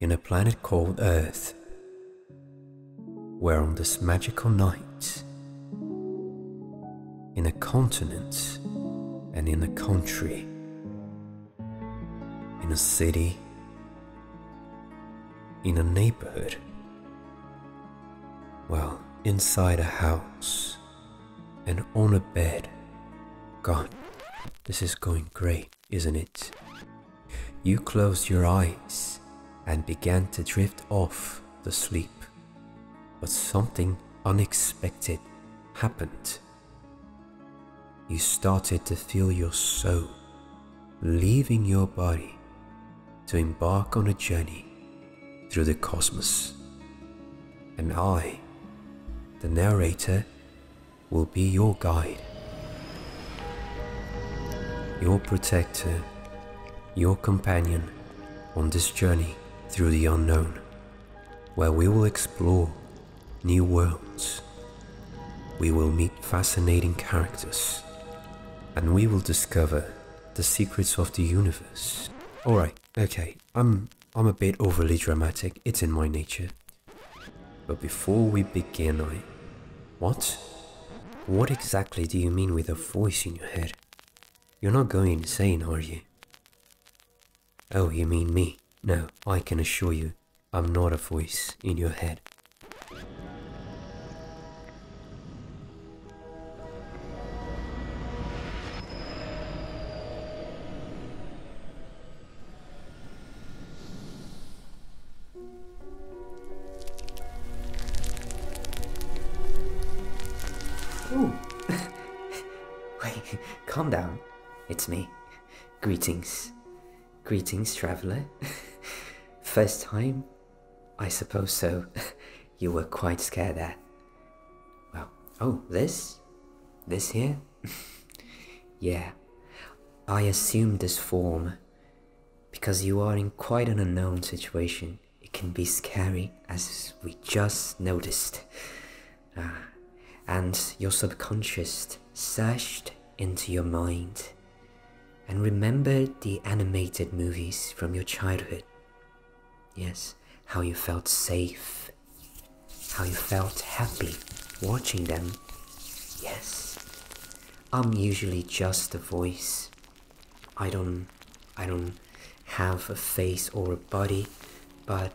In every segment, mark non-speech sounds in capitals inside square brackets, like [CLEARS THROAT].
in a planet called Earth, where on this magical night, in a continent and in a country, in a city, in a neighborhood, well, inside a house and on a bed. God, this is going great, isn't it? You closed your eyes and began to drift off to sleep. But something unexpected happened. You started to feel your soul leaving your body to embark on a journey through the cosmos. And I, the narrator, will be your guide, your protector, your companion on this journey through the unknown, where we will explore new worlds. We will meet fascinating characters, and we will discover the secrets of the universe. Alright, okay, I'm, I'm a bit overly dramatic, it's in my nature. But before we begin, I what? What exactly do you mean with a voice in your head? You're not going insane, are you? Oh, you mean me? No, I can assure you, I'm not a voice in your head. Ooh. [LAUGHS] Wait, calm down. It's me. Greetings. Greetings, traveller. [LAUGHS] First time? I suppose so. [LAUGHS] you were quite scared there. Well, oh, this? This here? yeah. I assumed this form because you are in quite an unknown situation, it can be scary as we just noticed. Uh, and your subconscious searched into your mind and remembered the animated movies from your childhood. Yes, how you felt safe, how you felt happy watching them. Yes, I'm usually just a voice I don't I don't have a face or a body, but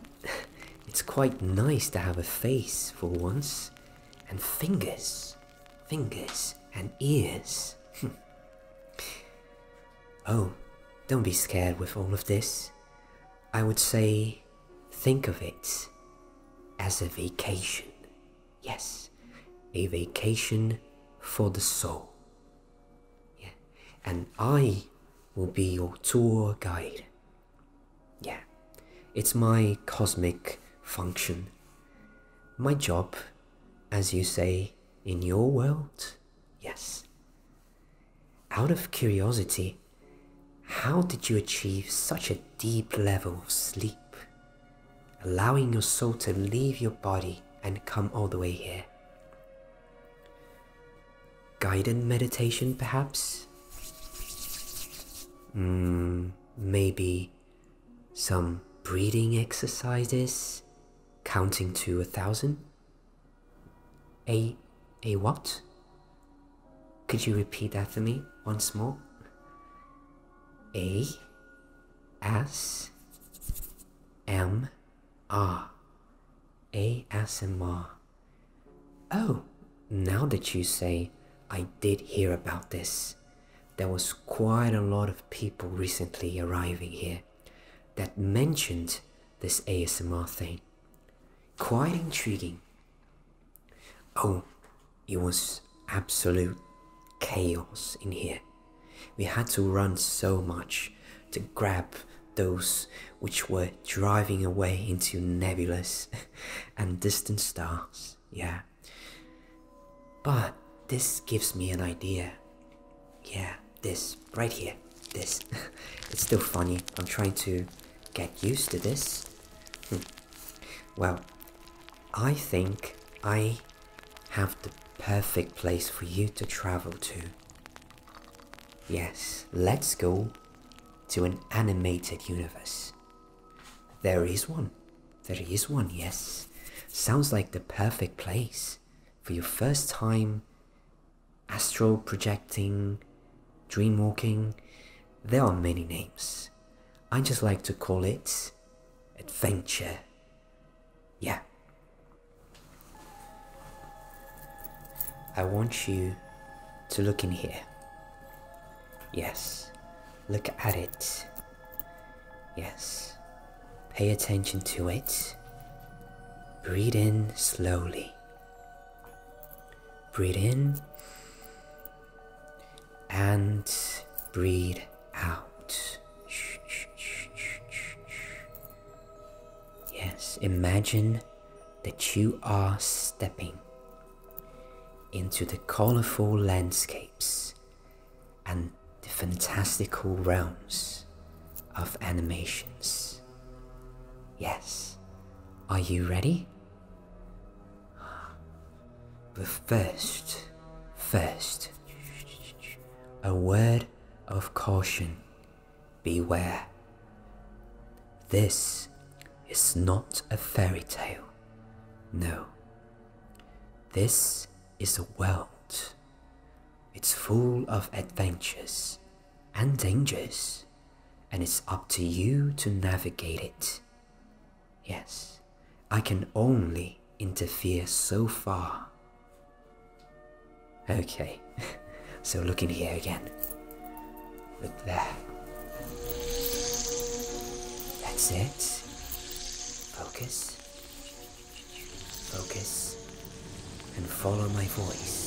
it's quite nice to have a face for once. And fingers. Fingers and ears. Hmm. oh, don't be scared with all of this. I would say think of it as a vacation. Yes, a vacation for the soul. Yeah. And I will be your tour guide. Yeah, it's my cosmic function. My job, as you say, in your world. Yes. Out of curiosity, how did you achieve such a deep level of sleep? allowing your soul to leave your body and come all the way here. Guided meditation, perhaps? Mm, maybe some breathing exercises, counting to a thousand? A, a what? Could you repeat that for me once more? A, S M R ASMR. Oh, now that you say, I did hear about this. There was quite a lot of people recently arriving here that mentioned this ASMR thing. Quite intriguing. Oh, it was absolute chaos in here. We had to run so much to grab those which were driving away into nebulous [LAUGHS] and distant stars, yeah. But this gives me an idea. Yeah, this, right here, this. [LAUGHS] it's still funny, I'm trying to get used to this. Hmm. well, I think I have the perfect place for you to travel to. Yes, let's go to an animated universe. There is one. There is one, yes. Sounds like the perfect place for your first time Astro projecting, dream walking. There are many names. I just like to call it adventure yeah. I want you to look in here. Yes. Look at it. Yes. Pay attention to it. Breathe in slowly. Breathe in and breathe out. Yes, imagine that you are stepping into the colorful landscapes and the fantastical realms of animations. Yes, are you ready? But first, first, a word of caution beware. This is not a fairy tale. No. This is a world. It's full of adventures and dangers, and it's up to you to navigate it. Yes. I can only interfere so far. Okay, [LAUGHS] so look in here again. Look there. That's it. Focus. Focus. And follow my voice.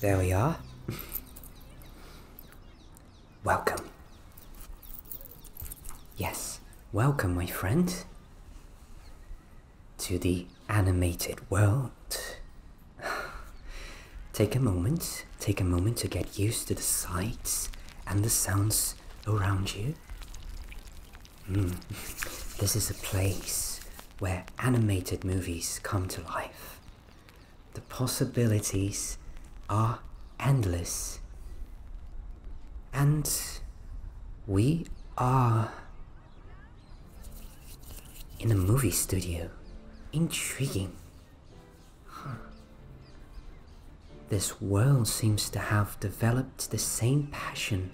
There we are. welcome. Yes, welcome, my friend, to the animated world. [SIGHS] Take a moment take a moment to get used to the sights and the sounds around you. Hmm. [LAUGHS] This is a place where animated movies come to life. The possibilities are endless. And we are in a movie studio. Intriguing. This world seems to have developed the same passion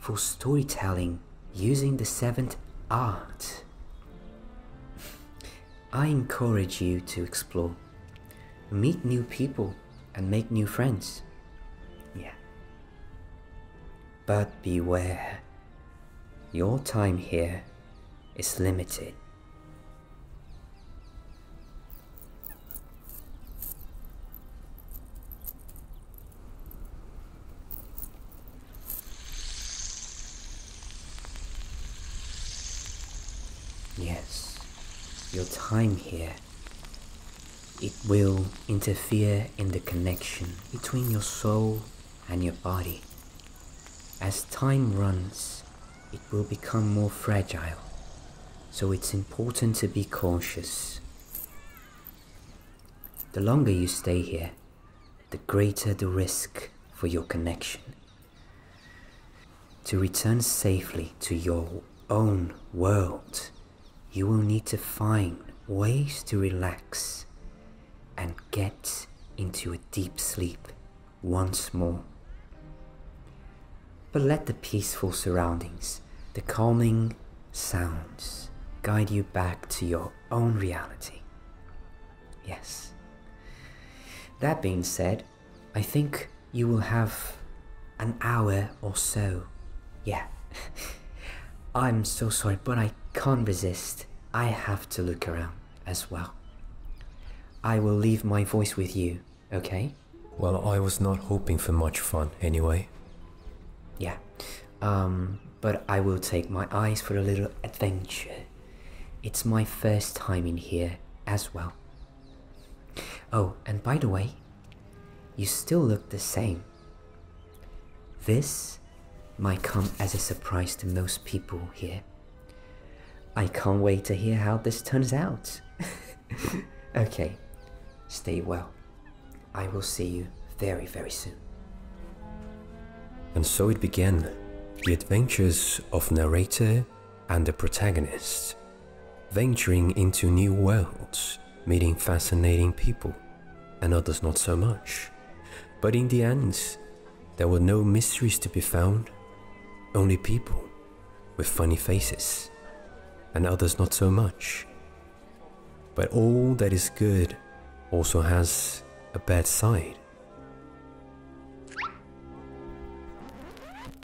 for storytelling using the seventh art. I encourage you to explore, meet new people, and make new friends. Yeah. But beware, your time here is limited. Yes, your time here. It will interfere in the connection between your soul and your body. As time runs, will become more fragile. So it's important to be cautious. The longer you stay here, the greater the risk for your connection. To return safely to your own world, you will need to find ways to relax and get into a deep sleep once more. But let the peaceful surroundings, the calming sounds, guide you back to your own reality. Yes. That being said, I think you will have an hour or so. Yeah. [LAUGHS] I'm so sorry, but I can't resist. I have to look around as well. I will leave my voice with you Okay. Well, I was not hoping for much fun anyway. Yeah. Um, but I will take my eyes for a little adventure. It's my first time in here as well. Oh, and by the way, you still look the same. This might come as a surprise to most people here. I can't wait to hear how this turns out. [LAUGHS] okay, stay well. I will see you very, very soon. And so it began the adventures of narrator and the protagonist, venturing into new worlds, meeting fascinating people, and others not so much. But in the end, there were no mysteries to be found, only people with funny faces, and others not so much. But all that is good also has a bad side.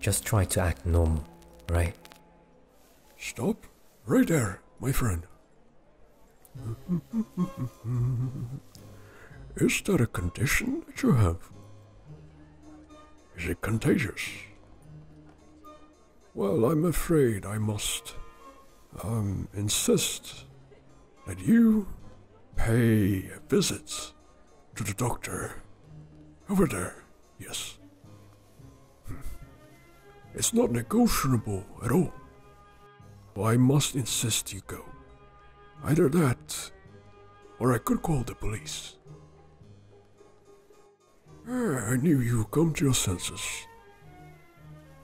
Just try to act normal, right? Stop right there, my friend. [LAUGHS] Is that a condition that you have? Is it contagious? Well, I'm afraid I must um, insist that you pay visits to the doctor over there. Yes. Hmm. It's not negotiable at all. I must insist you go. Either that, or I could call the police. Ah, I knew you would come to your senses.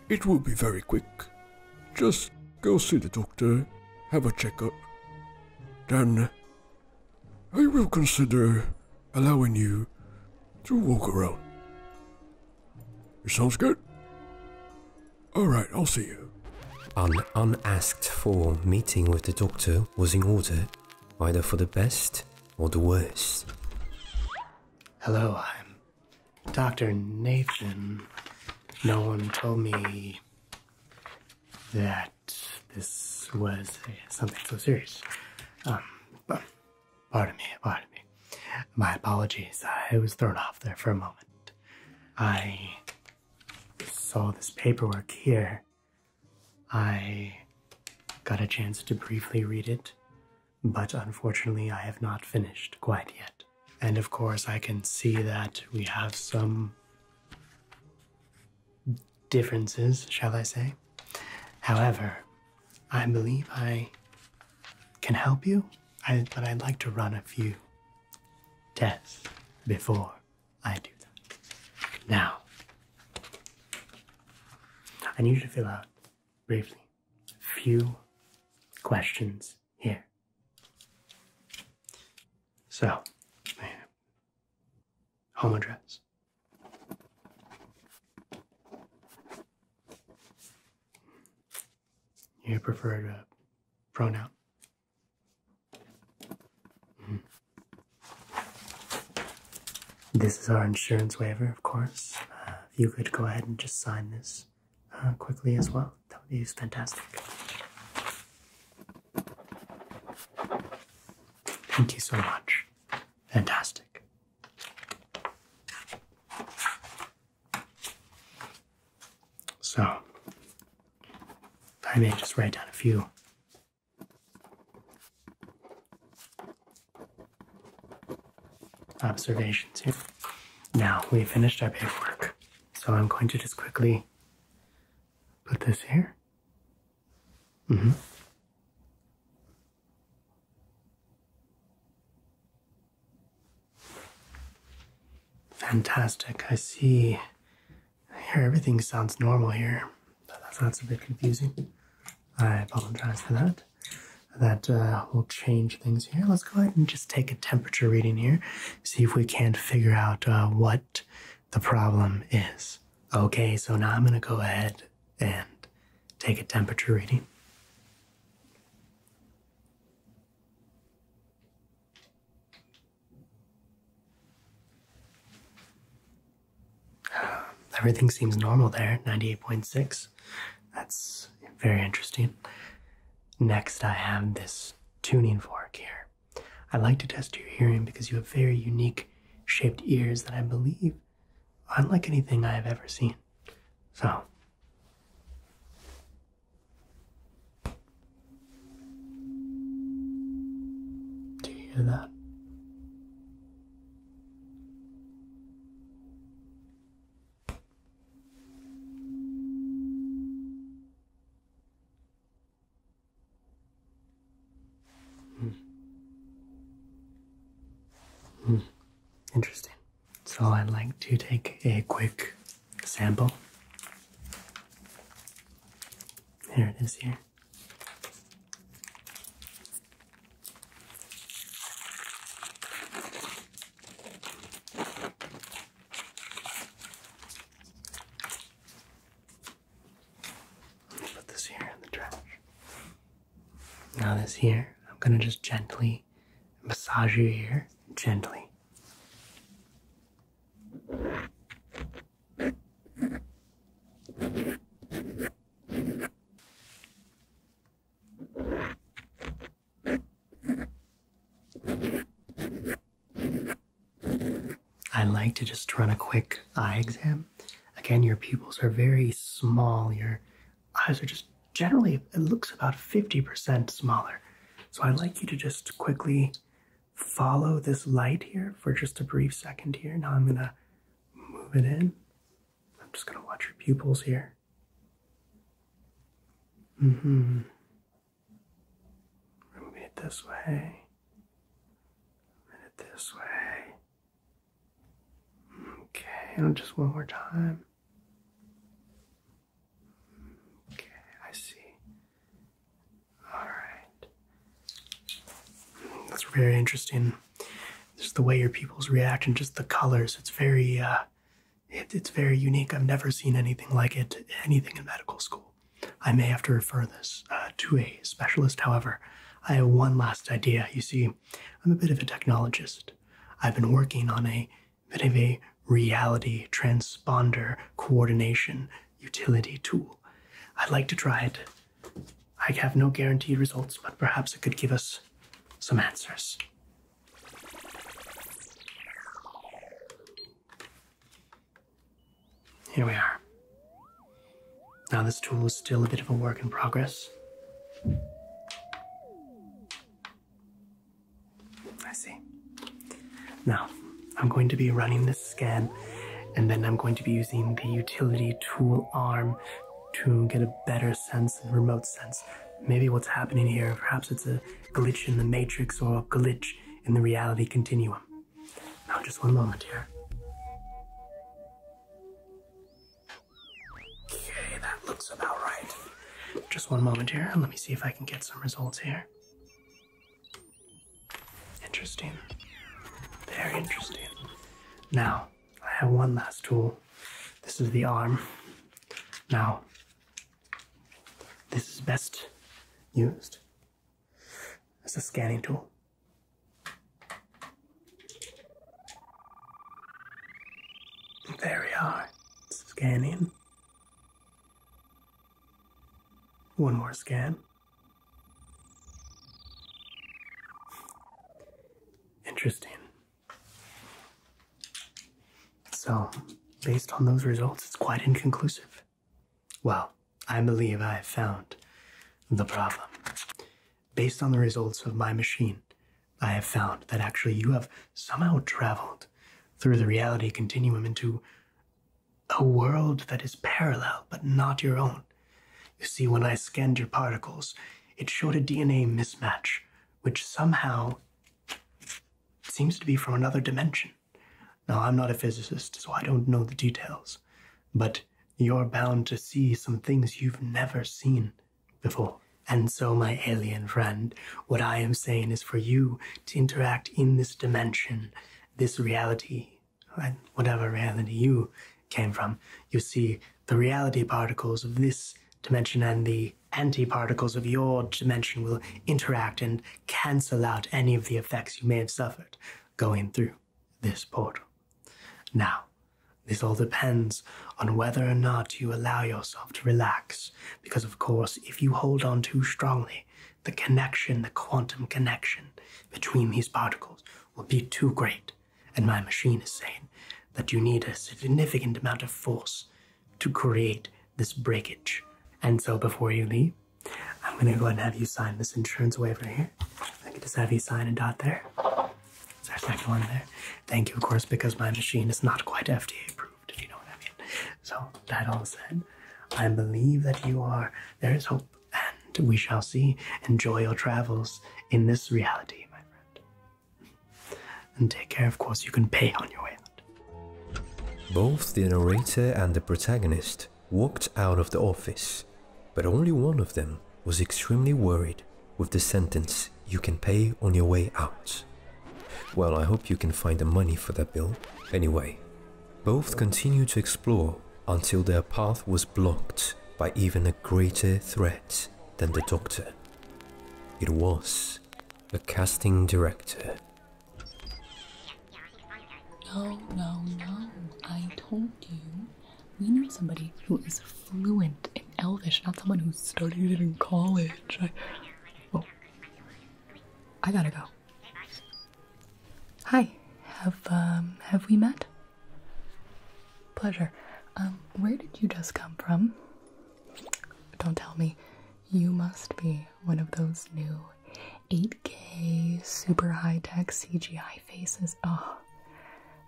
It will be very quick. Just go see the doctor, have a checkup. Then I will consider allowing you to walk around. It sounds good? Alright, I'll see you. An unasked for meeting with the doctor was in order, either for the best or the worst. Hello, I'm Dr. Nathan. No one told me that this was something so serious. Um, pardon me, pardon me. My apologies. I was thrown off there for a moment. I saw this paperwork here I got a chance to briefly read it, but unfortunately, I have not finished quite yet. And of course, I can see that we have some differences, shall I say. However, I believe I can help you, but I'd like to run a few tests before I do that. Now, I need you to fill out briefly a few questions here. So, home address. Your preferred uh, pronoun. This is our insurance waiver, of course. if uh, you could go ahead and just sign this uh, quickly as well, that would be fantastic. Thank you so much. Fantastic. So, I may just write down a few observations here. Now we finished our paperwork. So I'm going to just quickly put this here. Mm -hmm. Fantastic. I see here Everything sounds normal here. but That's a bit confusing. I apologize for that. That uh, will change things here. Let's go ahead and just take a temperature reading here, see if we can't figure out uh, what the problem is. Okay, so now I'm going to go ahead and take a temperature reading. [SIGHS] everything seems normal there, 98.6. That's very interesting. Next, I have this tuning fork here. I like to test your hearing because you have very unique shaped ears that I believe unlike anything I have ever seen. So, do you hear that? Hmm. Hmm. Interesting. So I'd like to take a quick sample. There it is here. Put this here in the trash. Now, this here, I'm gonna just gently massage your ear, gently. I like to just run a quick eye exam. Again, your pupils are very small. Your eyes are just generally, it looks about 50% smaller. So I'd like you to just quickly follow this light here for just a brief second here. Now I'm going to Move it in. I'm just going to watch your pupils here. Mm hmm. Moving it this way. Moving it this way. Okay, and just one more time. Okay, I see. All right. That's very interesting. Just the way your people's react and just the colors. It's very, uh, it's very unique. I've never seen anything like it, anything in medical school. I may have to refer this uh, to a specialist. However, I have one last idea. You see, I'm a bit of a technologist. I've been working on a bit of a reality transponder coordination utility tool. I'd like to try it I have no guaranteed results, but perhaps it could give us some answers. Here we are. Now, this tool is still a bit of a work in progress. I see. Now, I'm going to be running this scan. And then I'm going to be using the utility tool arm to get a better sense and remote sense. Maybe what's happening here, perhaps it's a glitch in the matrix or a glitch in the reality continuum. Now, just one moment here. Okay, that looks about right. Just one moment here, let me see if I can get some results here. Interesting. Very interesting. Now, I have one last tool. This is the arm. Now, this is best used as a scanning tool. There we are. Scanning. One more scan. Interesting. So, based on those results, it's quite inconclusive. Well, I believe I have found the problem. Based on the results of my machine, I have found that actually you have somehow traveled through the reality continuum into a world that is parallel but not your own. You see, when I scanned your particles, it showed a DNA mismatch, which somehow seems to be from another dimension. Now, I'm not a physicist, so I don't know the details, but you're bound to see some things you've never seen before. And so, my alien friend, what I am saying is for you to interact in this dimension, this reality, and whatever reality you came from, you see the reality particles of this dimension and the anti-particles of your dimension will interact and cancel out any of the effects you may have suffered going through this portal. Now, this all depends on whether or not you allow yourself to relax, because of course, if you hold on too strongly, the connection, the quantum connection between these particles will be too great and my machine is saying that you need a significant amount of force to create this breakage. And so before you leave, I'm gonna go ahead and have you sign this insurance waiver here. I can just have you sign a dot there. It's our second one there. Thank you, of course, because my machine is not quite FDA approved, if you know what I mean. So that all said, I believe that you are there is hope and we shall see. Enjoy your travels in this reality, my friend. And take care, of course, you can pay on your way out. Both the narrator and the protagonist walked out of the office, but only one of them was extremely worried with the sentence, you can pay on your way out. Well, I hope you can find the money for that bill. Anyway, both continued to explore until their path was blocked by even a greater threat than the Doctor. It was a casting director. No, no, no. I told you. We need somebody who is fluent in Elvish, not someone who studied it in college. I, oh. I gotta go. Hi. Have um have we met? Pleasure. Um, where did you just come from? Don't tell me. You must be one of those new 8K super high tech CGI faces. Oh,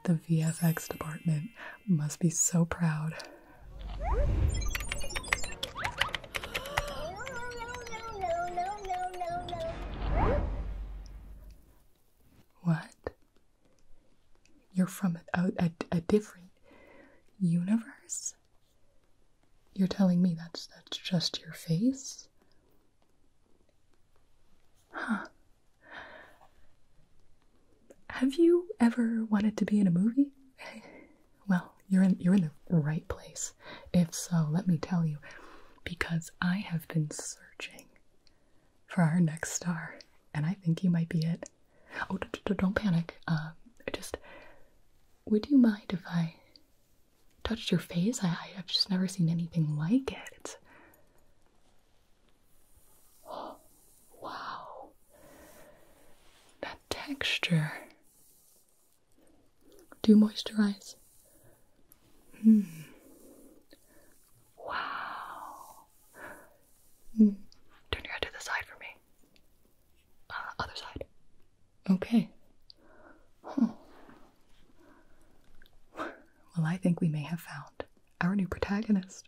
the VFX department must be so proud. What? You're from a, different universe? You're telling me that's, that's just your face? Huh. Have you ever wanted to be in a movie? [LAUGHS] well, you're in you're in the right place. If so, let me tell you because I have been searching for our next star, and I think you might be it. Oh, don't panic. Um, just would you mind if I touched your face? I, I've just never seen anything like it. [GASPS] wow, that texture. Do moisturize? Hmm. Wow. Hmm. Turn your head to the side for me. Uh, other side. Okay. Well, I think we may have found our new protagonist.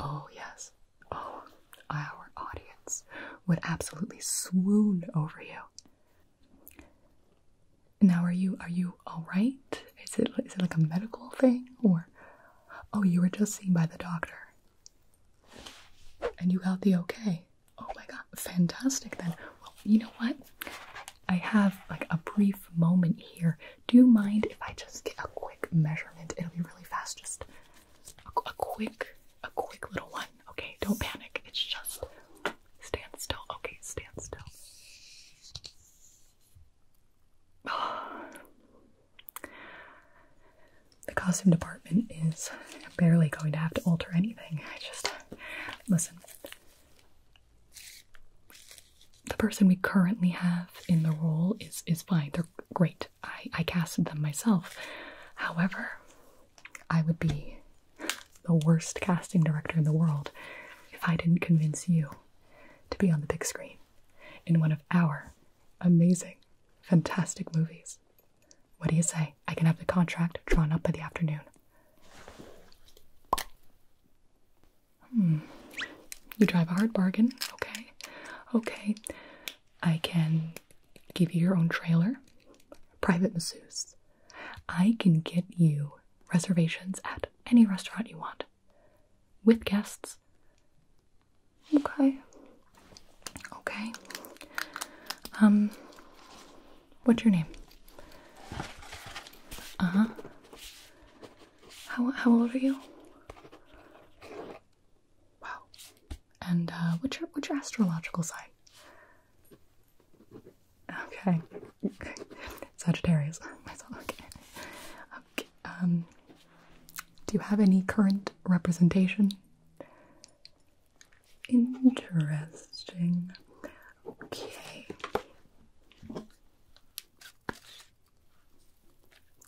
Oh, yes. Oh, our audience would absolutely swoon over you. Now, are you are you all right? Is it is it like a medical thing or? Oh, you were just seen by the doctor. And you healthy okay? Oh my god, fantastic then. Well, you know what? I have like a brief moment here. Do you mind if I just get a quick measurement? It'll be really fast. Just a, a quick, a quick little one. Okay, don't panic. It's just stand still. Okay, stand still. [SIGHS] The costume department is barely going to have to alter anything. I just listen. The person we currently have in the role is is fine. They're great. I, I casted them myself. However, I would be the worst casting director in the world if I didn't convince you to be on the big screen in one of our amazing, fantastic movies. What do you say? I can have the contract drawn up by the afternoon. Hmm. You drive a hard bargain. Okay. Okay. I can give you your own trailer, private masseuse. I can get you reservations at any restaurant you want with guests. Okay. Okay. Um, what's your name? Uh huh. How how old are you? Wow. And uh, what's your what's your astrological sign? Okay. Sagittarius. [LAUGHS] okay. Um, do you have any current representation? Interesting. Okay.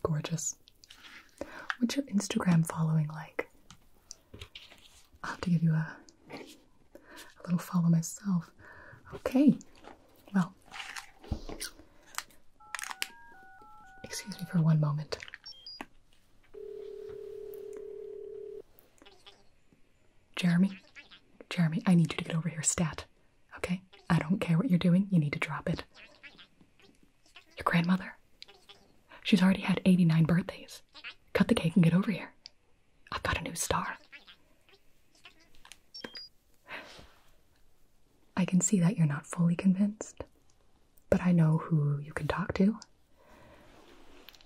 Gorgeous. What's your Instagram following like? I'll have to give you a little follow myself. Okay, well, excuse me for one moment. Jeremy, Jeremy, I need you to get over here stat. Okay? I don't care what you're doing, you need to drop it. Your grandmother? She's already had 89 birthdays. Cut the cake and get over here. I've got a new star. I can see that you're not fully convinced, but I know who you can talk to.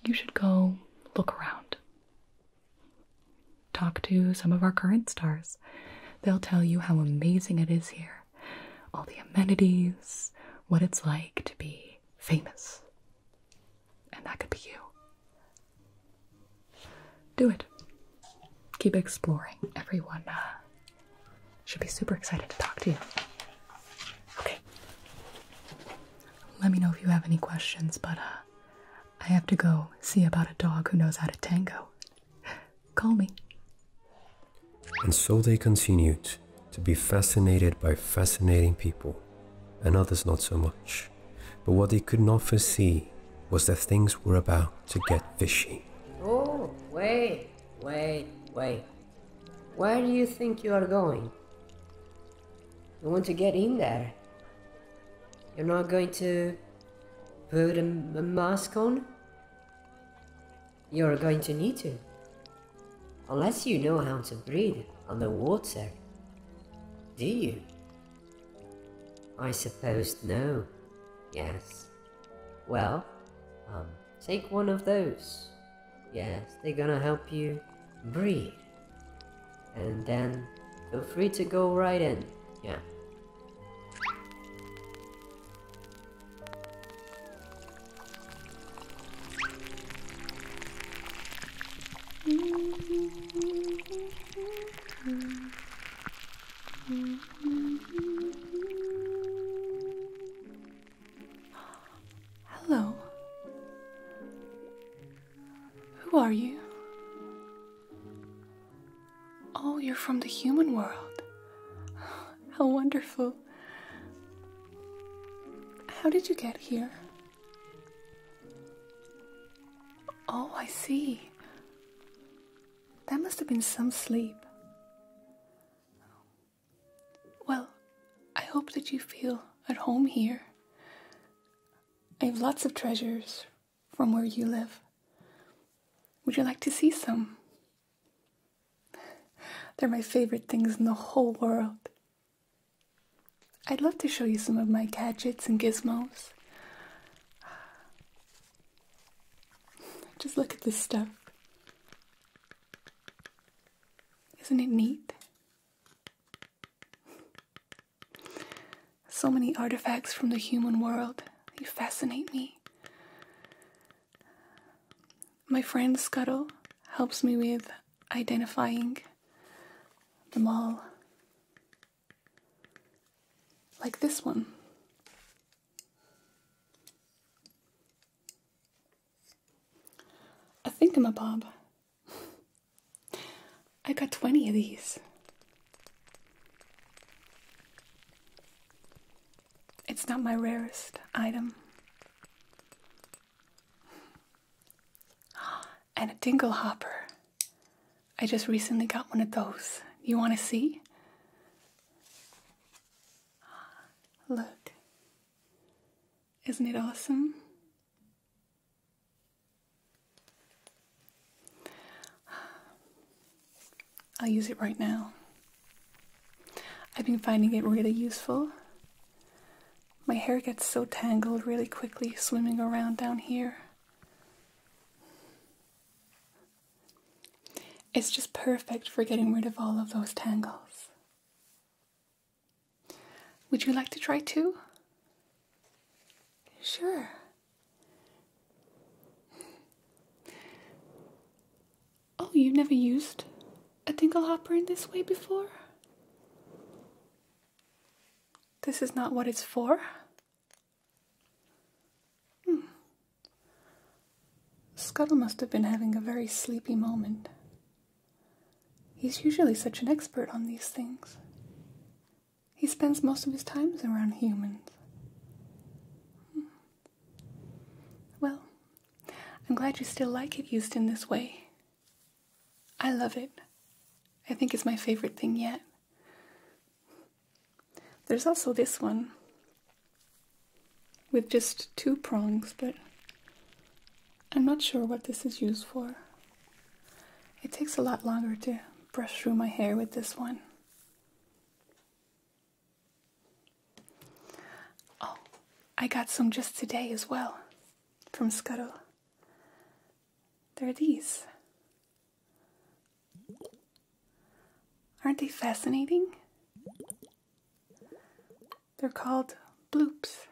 You should go look around. Talk to some of our current stars. They'll tell you how amazing it is here, all the amenities, what it's like to be famous. And that could be you do it. Keep exploring. Everyone uh, should be super excited to talk to you. Okay. Let me know if you have any questions, but uh, I have to go see about a dog who knows how to tango. Call me. And so they continued to be fascinated by fascinating people, and others not so much but what they could not foresee was that things were about to get fishy. Oh, wait, wait, wait. Where do you think you are going? You want to get in there? You're not going to put a, a mask on? You're going to need to. Unless you know how to breathe underwater. Do you? I suppose no. Yes. Well, um, take one of those. Yes, they're gonna help you breathe. And then feel free to go right in. Yeah. Hello. Who are you? Oh, you're from the human world. [SIGHS] How wonderful. How did you get here? Oh, I see. That must have been some sleep. Well, I hope that you feel at home here. I have lots of treasures from where you live. Would you like to see some? They're my favorite things in the whole world. I'd love to show you some of my gadgets and gizmos. Just look at this stuff. Isn't it neat? So many artifacts from the human world. They fascinate me. My friend Scuttle helps me with identifying them all. Like this one. I think I'm a bob. I got 20 of these. It's not my rarest item. [GASPS] And a dingle hopper. I just recently got one of those. You want to see? Look. Isn't it awesome? I'll use it right now. I've been finding it really useful. My hair gets so tangled really quickly swimming around down here. It's just perfect for getting rid of all of those tangles. Would you like to try too? Sure. Oh, you've never used a tinkle hopper in this way before? This is not what it's for? Hmm. Scuttle must have been having a very sleepy moment. He's usually such an expert on these things. He spends most of his times around humans. Hmm. Well, I'm glad you still like it used in this way. I love it. I think it's my favorite thing yet. There's also this one with just two prongs, but I'm not sure what this is used for. It takes a lot longer to brush through my hair with this one. Oh, I got some just today as well from Scuttle. There are these. Aren't they fascinating? They're called bloops.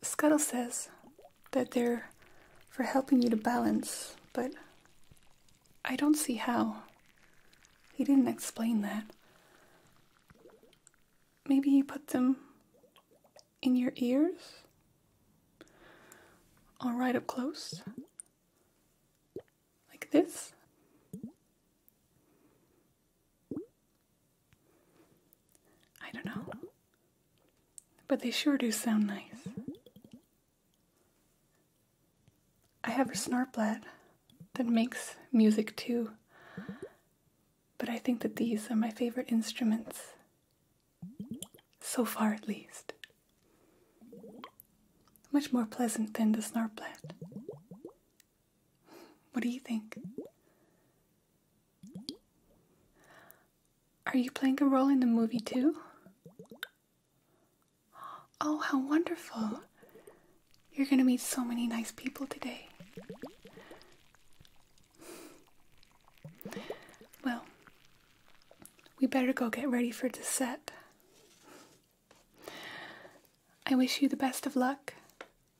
Scuttle says that they're for helping you to balance, but I don't see how. He didn't explain that. Maybe he put them in your ears all right up close like this I don't know but they sure do sound nice I have a snarplet that makes music too but I think that these are my favorite instruments so far, at least. Much more pleasant than the snarplat. What do you think? Are you playing a role in the movie too? Oh, how wonderful! You're gonna meet so many nice people today. Well, we better go get ready for the set. I wish you the best of luck,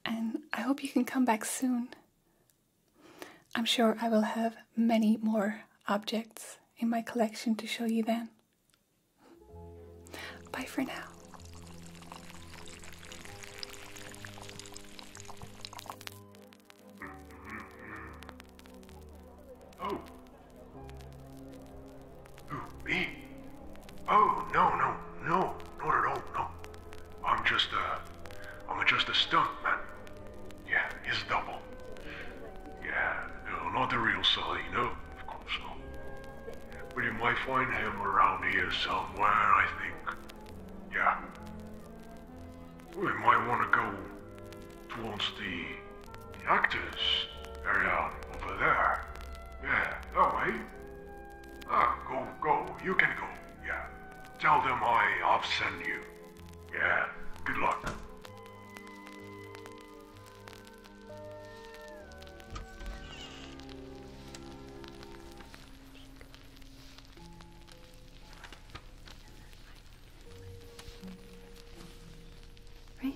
and I hope you can come back soon. I'm sure I will have many more objects in my collection to show you then. Bye for now. Oh. me? Oh, no, no, no, not at all, no. I'm just a, I'm just a stunt man. Yeah, his double. Yeah, no, not the real Sully, no, of course not. But you might find him around here somewhere, I think. Yeah. We might want to go towards the, actors area over there. Yeah, that way. Ah, go, go. You can go. Yeah. Tell them I have sent you. Yeah. Good luck. Right?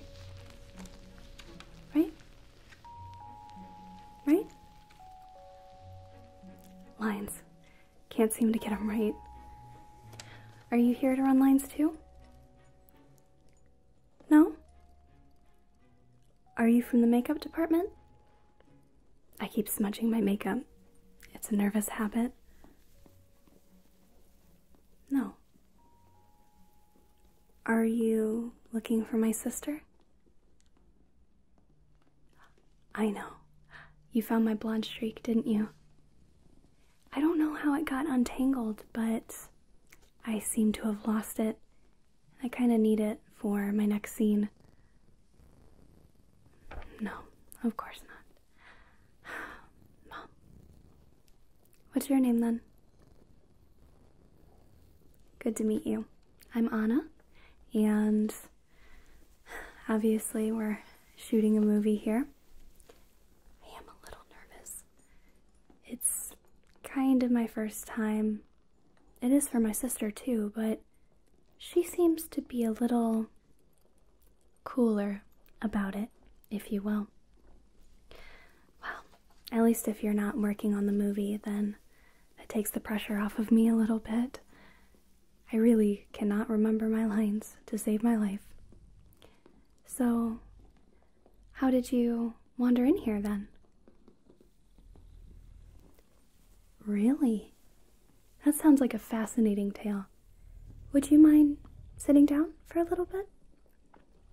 Right? Right? Lines. Can't seem to get them right. Are you here to run lines too? No? Are you from the makeup department? I keep smudging my makeup. It's a nervous habit. No. Are you looking for my sister? I know. You found my blonde streak, didn't you? I don't know how it got untangled, but I seem to have lost it. I kind of need it for my next scene. No, of course not. [SIGHS] Mom. What's your name then? Good to meet you. I'm Anna, and obviously, we're shooting a movie here. I am a little nervous. It's kind of my first time. It is for my sister, too, but she seems to be a little cooler about it, if you will. Well, at least if you're not working on the movie, then that takes the pressure off of me a little bit. I really cannot remember my lines to save my life. So, how did you wander in here then? Really? That sounds like a fascinating tale. Would you mind sitting down for a little bit?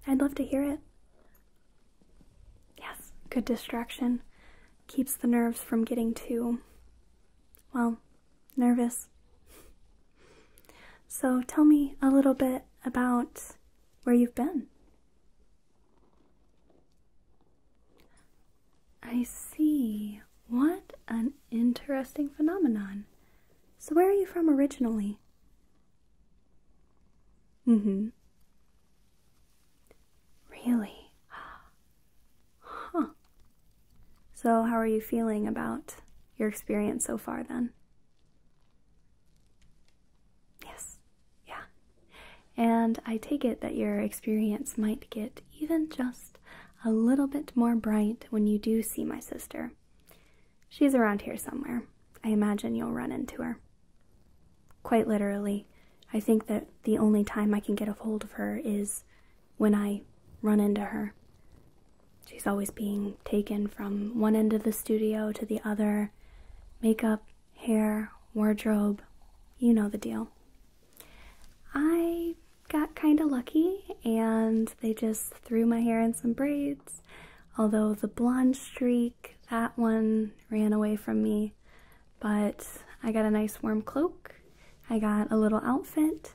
I'd love to hear it. Yes, good distraction. Keeps the nerves from getting too, well, nervous. So tell me a little bit about where you've been. I see. What an interesting phenomenon. So, where are you from originally? Mm hmm. Really? Huh. So, how are you feeling about your experience so far then? Yes. Yeah. And I take it that your experience might get even just a little bit more bright when you do see my sister. She's around here somewhere. I imagine you'll run into her. Quite literally, I think that the only time I can get a hold of her is when I run into her. She's always being taken from one end of the studio to the other makeup, hair, wardrobe, you know the deal. I got kind of lucky and they just threw my hair in some braids. Although the blonde streak, that one ran away from me. But I got a nice warm cloak. I got a little outfit.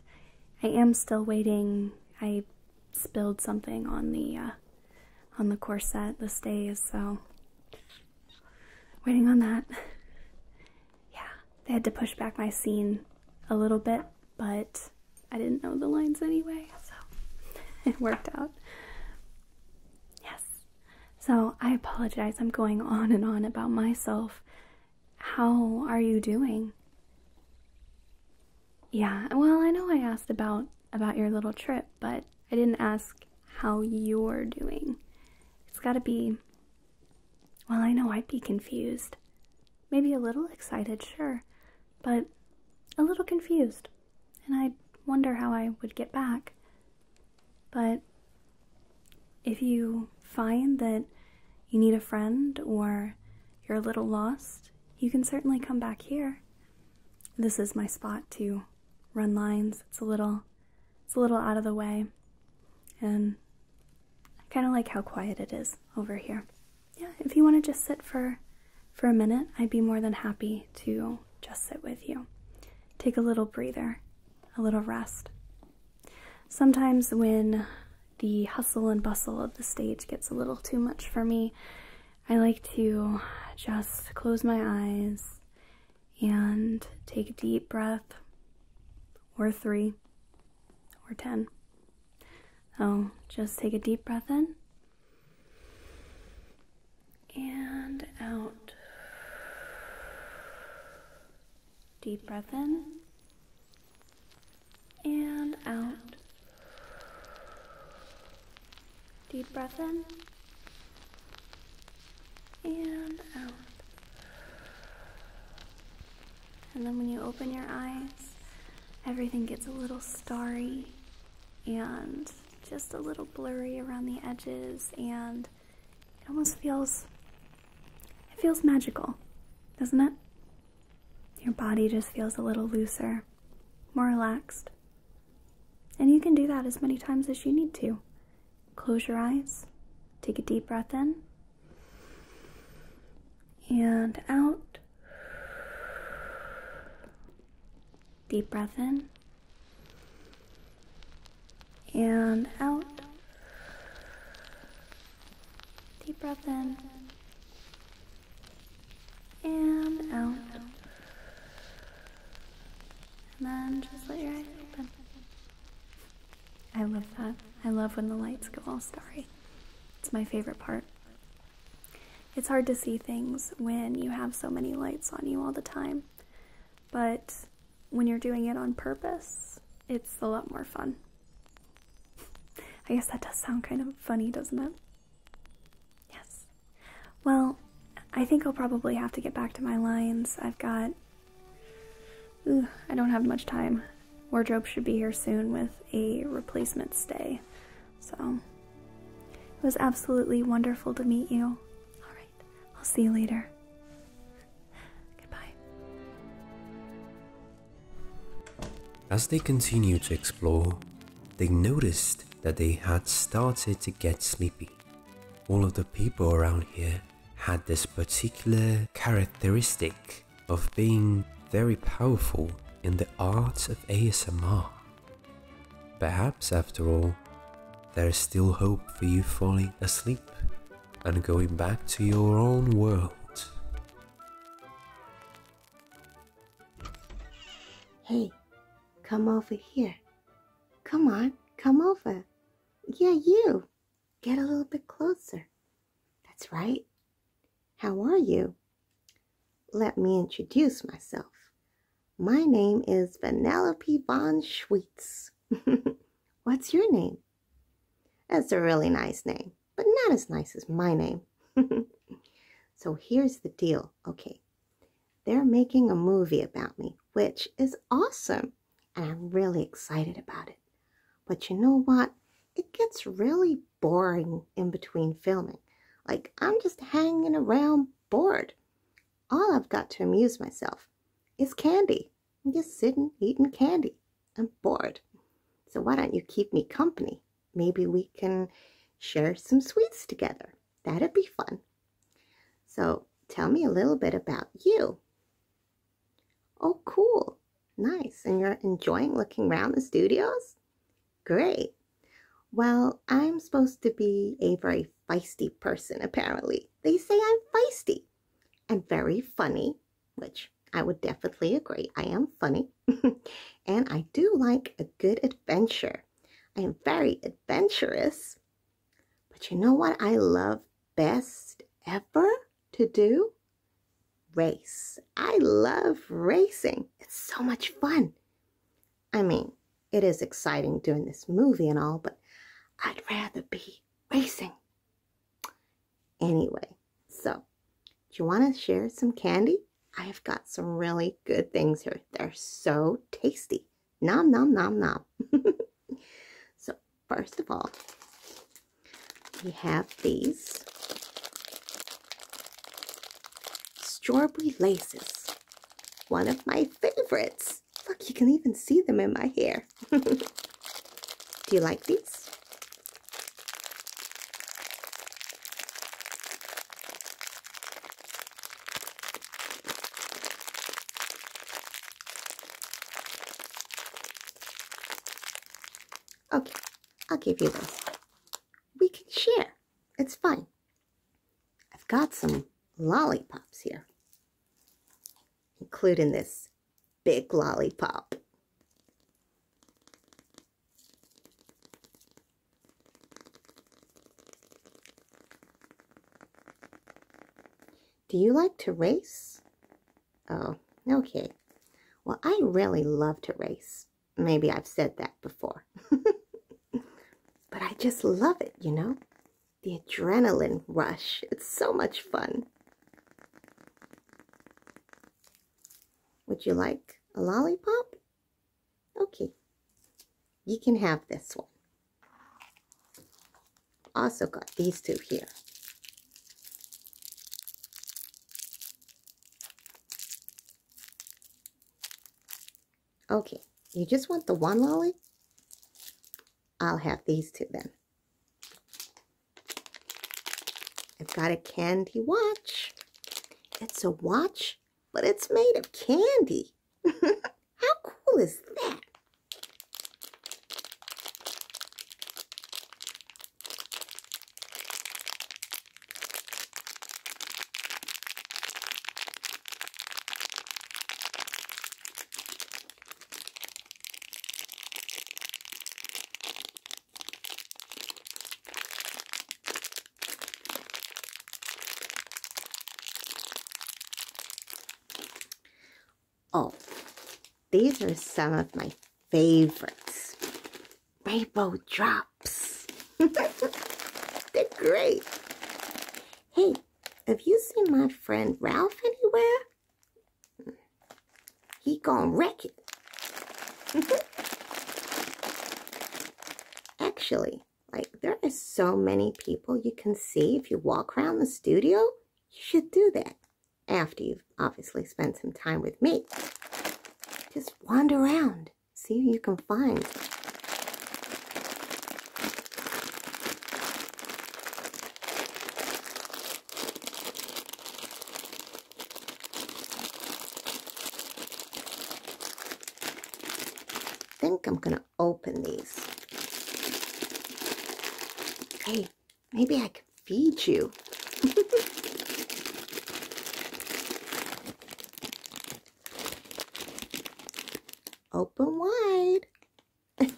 I am still waiting. I spilled something on the uh, on the corset this day, so waiting on that. Yeah, they had to push back my scene a little bit but I didn't know the lines anyway, so [LAUGHS] it worked out. Yes. So I apologize. I'm going on and on about myself. How are you doing? Yeah. Well, I know I asked about about your little trip, but I didn't ask how you're doing. It's got to be Well, I know I'd be confused. Maybe a little excited, sure, but a little confused. And I wonder how I would get back. But if you find that you need a friend or you're a little lost, you can certainly come back here. This is my spot to run lines. It's a little it's a little out of the way. And I kind of like how quiet it is over here. Yeah, if you want to just sit for for a minute, I'd be more than happy to just sit with you. Take a little breather, a little rest. Sometimes when the hustle and bustle of the stage gets a little too much for me, I like to just close my eyes and take a deep breath or three or 10 so just take a deep breath in and out. Deep breath in and out. Deep breath in and out. And then when you open your eyes, everything gets a little starry and just a little blurry around the edges and it almost feels it feels magical, doesn't it? Your body just feels a little looser, more relaxed. And you can do that as many times as you need to. Close your eyes, take a deep breath in and out. Deep breath in and out. Deep breath in and out. And then just let your eyes open. I love that. I love when the lights go all starry. It's my favorite part. It's hard to see things when you have so many lights on you all the time, but when you're doing it on purpose, it's a lot more fun. [LAUGHS] I guess that does sound kind of funny, doesn't it? Yes. Well, I think I'll probably have to get back to my lines. I've got. I don't have much time wardrobe should be here soon with a replacement stay. So it was absolutely wonderful to meet you. All right, I'll see you later. Goodbye. As they continued to explore, they noticed that they had started to get sleepy. All of the people around here had this particular characteristic of being very powerful in the art of ASMR. Perhaps, after all, there is still hope for you falling asleep and going back to your own world. Hey, come over here. Come on, come over. Yeah, you. Get a little bit closer. That's right. How are you? Let me introduce myself. My name is Vanellope von Schweetz. [LAUGHS] What's your name? That's a really nice name, but not as nice as my name. [LAUGHS] so here's the deal. Okay, they're making a movie about me, which is awesome, and I'm really excited about it. But you know what? it gets really boring in between filming. Like, I'm just hanging around bored. All I've got to amuse myself is candy. I'm just sitting, eating candy. I'm bored. So why don't you keep me company? Maybe we can share some sweets together. That'd be fun. So tell me a little bit about you. Oh, cool. Nice. And you're enjoying looking around the studios? Great. Well, I'm supposed to be a very feisty person, apparently. They say I'm feisty and very funny, which I would definitely agree. I am funny. [LAUGHS] and I do like a good adventure. I am very adventurous. But you know what I love best ever to do? race. I love racing. It's so much fun. I mean, it is exciting doing this movie and all, but I'd rather be racing. Anyway, so do you want to share some candy? I have got some really good things here. They're so tasty. Nom, nom, nom, nom. [LAUGHS] so first of all, we have these Strawberry laces. One of my favorites. Look, you can even see them in my hair. [LAUGHS] Do you like these? Okay, I'll give you this we can share. It's fine. I've got some lollipops here, including this big lollipop. Do you like to race? Oh, okay. Well, I really love to race. Maybe I've said that before. [LAUGHS] but I just love it, you know? The adrenaline rush. It's so much fun. Would you like a lollipop? Okay. You can have this one. Also got these two here. Okay, you just want the one lolly? I'll have these two then. I've got a candy watch. It's a watch, but it's made of candy. [LAUGHS] How cool is that? Oh, these are some of my favorites rainbow drops. [LAUGHS] They're great. Hey, have you seen my friend Ralph anywhere? He gonna wreck it. [LAUGHS] Actually, like there are so many people you can see if you walk around the studio. You should do that after you've obviously spent some time with me. Just wander around see if you can find. think I'm going to open these. Hey, maybe I can feed you. [LAUGHS] Open wide. [LAUGHS]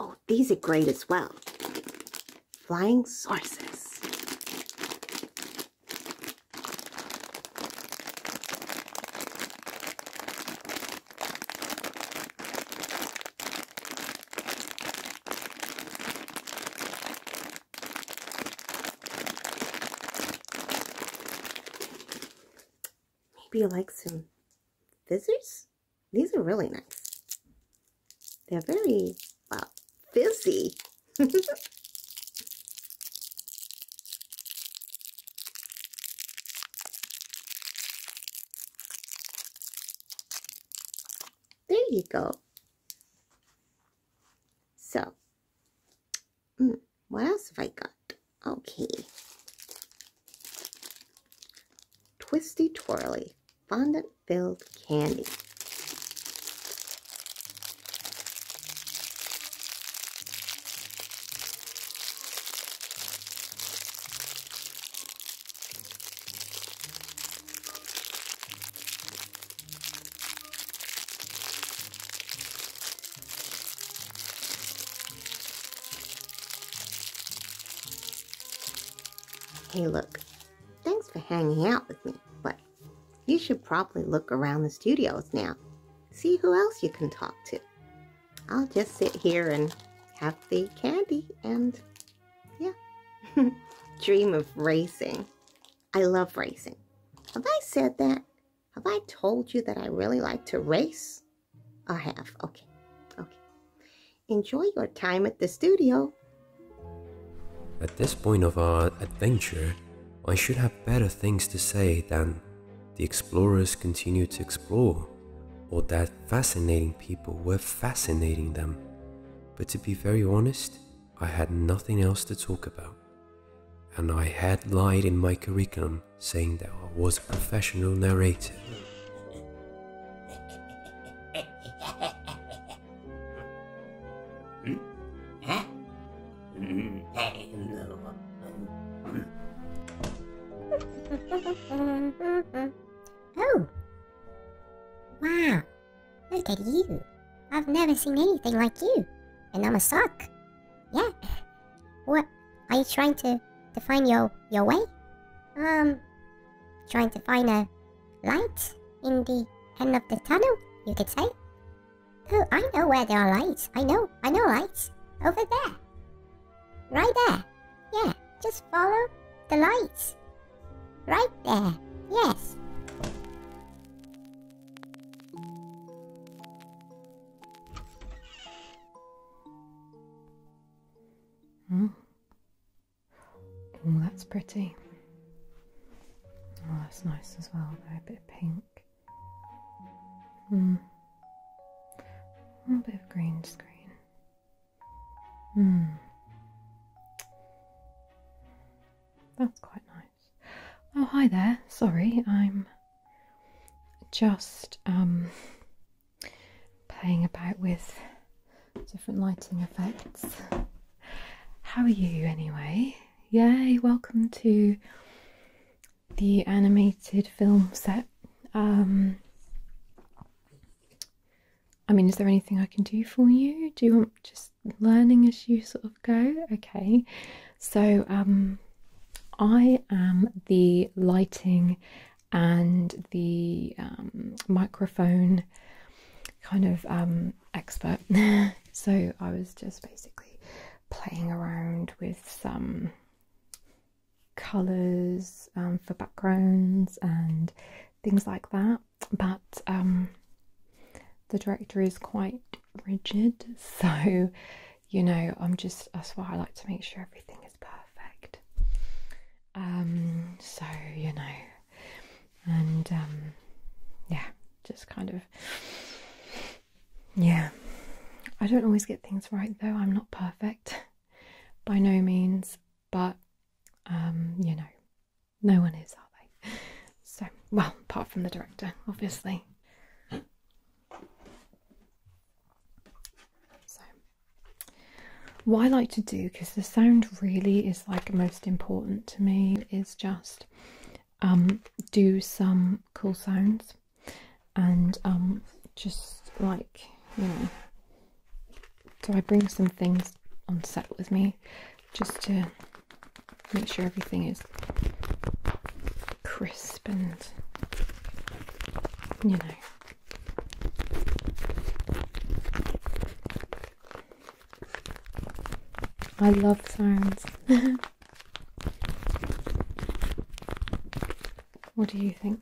oh, these are great as well. Flying saucers. Maybe you like some fizzers? These are really nice. They're very, wow, fizzy. There you go. So, hmm, what else have I got? Okay. Twisty Twirly Fondant Filled Candy. Hey, look, thanks for hanging out with me, but you should probably look around the studios now. See who else you can talk to. I'll just sit here and have the candy and yeah. [LAUGHS] Dream of racing. I love racing. Have I said that? Have I told you that I really like to race? I have. Okay. Okay. Enjoy your time at the studio. At this point of our adventure, I should have better things to say than the explorers continue to explore, or that fascinating people were fascinating them. But to be very honest, I had nothing else to talk about. And I had lied in my curriculum saying that I was a professional narrator. [LAUGHS] Oh, Wow, look at you. I've never seen anything like you. And I'm a sock. Yeah. What? Are you trying to, to find your, your way? Um, trying to find a light in the end of the tunnel, you could say? Oh, I know where there are lights. I know, I know lights. Over there. Right there. Yeah, just follow the lights. Right there. Yes. Hmm. Oh, that's pretty. Oh, that's nice as well, though, a bit of pink. Hmm. A bit of green screen. Mm. That's quite nice. Oh, hi there. Sorry, I'm just um, playing about with different lighting effects. How are you, anyway? Yay, welcome to the animated film set. Um, I mean, is there anything I can do for you? Do you want just learning as you sort of go? Okay, so um, I am the lighting and the um, microphone kind of um, expert. [LAUGHS] so I was just basically playing around with some colors um, for backgrounds and things like that. But um, the director is quite rigid, [LAUGHS] so you know, I'm just that's why I like to make sure everything is perfect. Um, so you know, and um, yeah, just kind of, yeah. I don't always get things right though, I'm not perfect [LAUGHS] by no means but um, you know, no one is, are they? [LAUGHS] So, well, apart from the director, obviously. So, what I like to do, because the sound really is like most important to me, is just um, do some cool sounds and um, just like, you know, so I bring some things on set with me just to make sure everything is crisp and you know. I love sounds. [LAUGHS] what do you think?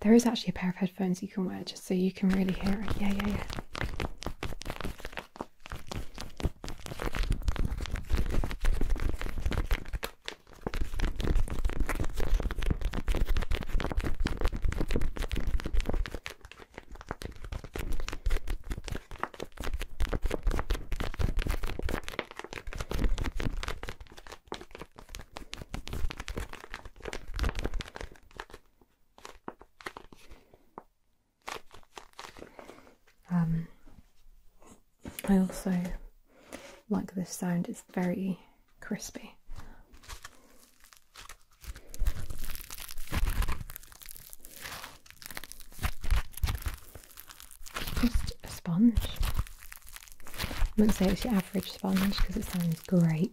There is actually a pair of Phones you can wear just so you can really hear it. Yeah, yeah, yeah. Um, I also like this sound, it's very crispy. Just a sponge. I not say it's your average sponge because it sounds great.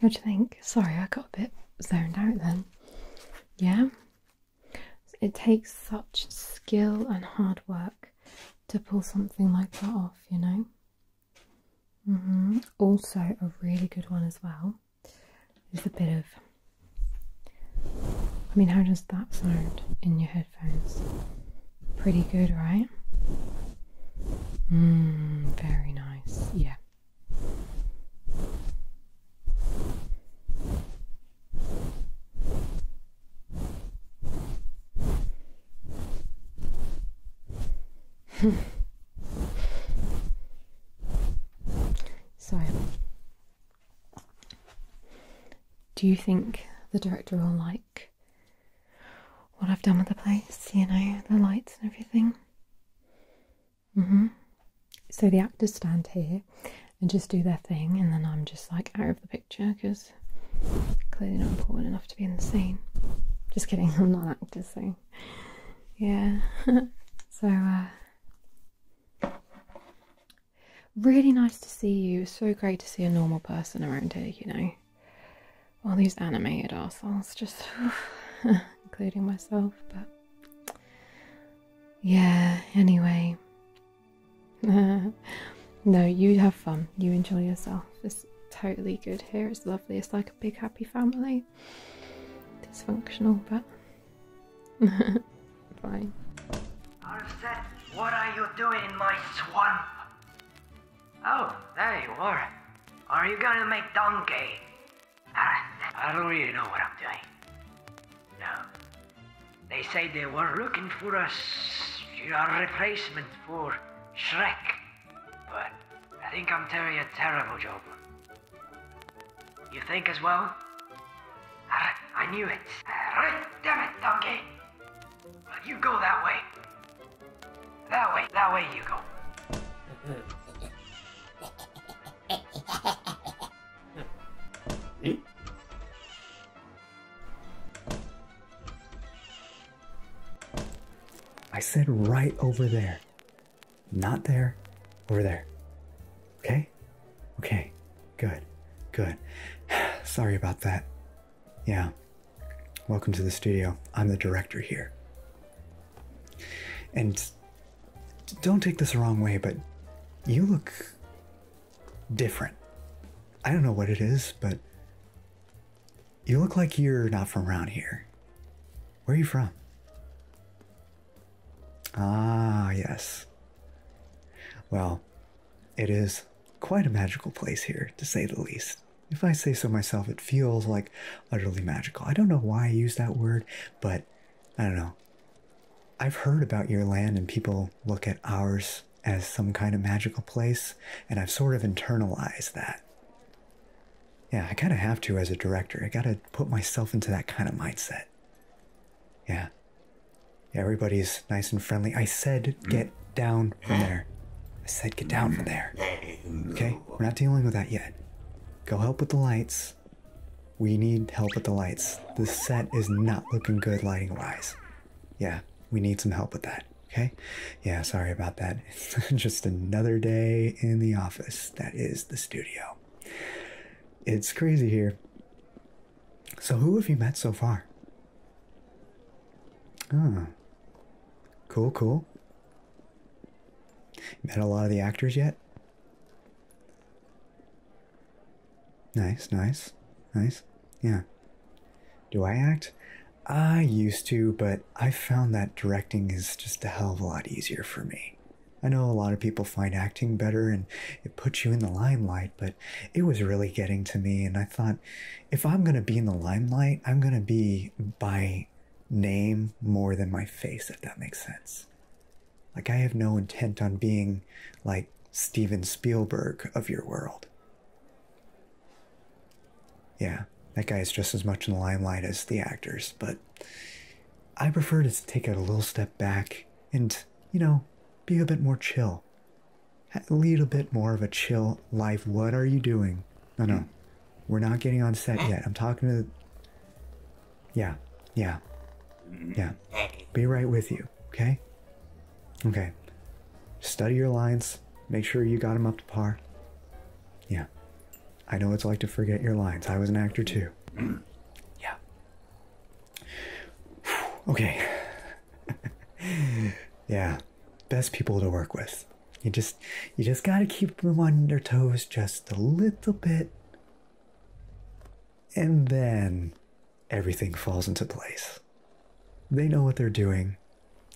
What do you think? Sorry, I got a bit zoned out then. Yeah, it takes such skill and hard work to pull something like that off, you know. Mm-hmm. Also, a really good one as well is a bit of. I mean, how does that sound in your headphones? Pretty good, right? Mmm, very nice. Yeah. [LAUGHS] so, do you think the director will like what I've done with the place? You know, the lights and everything? hmm. So, the actors stand here and just do their thing, and then I'm just like out of the picture because clearly not important enough to be in the scene. Just kidding, [LAUGHS] I'm not an actor, so yeah. [LAUGHS] so, uh, really nice to see you. So great to see a normal person around here, you know. All these animated assholes, just [LAUGHS] including myself, but yeah, anyway. [LAUGHS] no, you have fun. You enjoy yourself. It's totally good here. It's lovely. It's like a big happy family. Dysfunctional, but [LAUGHS] fine. Arset, what are you doing in my swamp? Oh, there you are. Are you gonna make donkey? I don't really know what I'm doing. No. They say they were looking for a, a replacement for Shrek. But I think I'm doing a terrible job. You think as well? I, knew it. damn it, donkey. Well, you go that way. That way, that way you go. Eh? I said right over there. Not there, over there. Okay? Okay, good, good. [SIGHS] Sorry about that. Yeah. Welcome to the studio. I'm the director here. And don't take this the wrong way, but you look different. I don't know what it is, but you look like you're not from around here. Where are you from? Ah, yes. Well, it is quite a magical place here, to say the least. If I say so myself, it feels like utterly magical. I don't know why I use that word, but I don't know. I've heard about your land and people look at ours as some kind of magical place, and I've sort of internalized that. Yeah, I kind of have to as a director. I got to put myself into that kind of mindset. Yeah. yeah. Everybody's nice and friendly. I said, get down from there. I said, get down from there. Okay? We're not dealing with that yet. Go help with the lights. We need help with the lights. The set is not looking good lighting wise yeah, we need some help with that. Okay. Yeah, sorry about that. It's [LAUGHS] just another day in the office. That is the studio. It's crazy here. So, who have you met so far? Oh, cool, cool. Met a lot of the actors yet? Nice, nice, nice. Yeah. Do I act? I used to, but I found that directing is just a hell of a lot easier for me. I know a lot of people find acting better and it puts you in the limelight, but it was really getting to me. And I thought, if I'm going to be in the limelight, I'm going to be by name more than my face, if that makes sense. Like, I have no intent on being like Steven Spielberg of your world. Yeah, that guy is just as much in the limelight as the actors, but I prefer to take a little step back and, you know, be a bit more chill. a little bit more of a chill life. What are you doing? No, no. We're not getting on set yet. I'm talking to. Yeah, yeah, yeah. Be right with you, okay? Okay. Study your lines. Make sure you got them up to par. Yeah. I know it's like to forget your lines. I was an actor too. [CLEARS THROAT] yeah. okay. [LAUGHS] yeah. Best people to work with. You just you just got to keep them on their toes just a little bit. And then everything falls into place. They know what they're doing,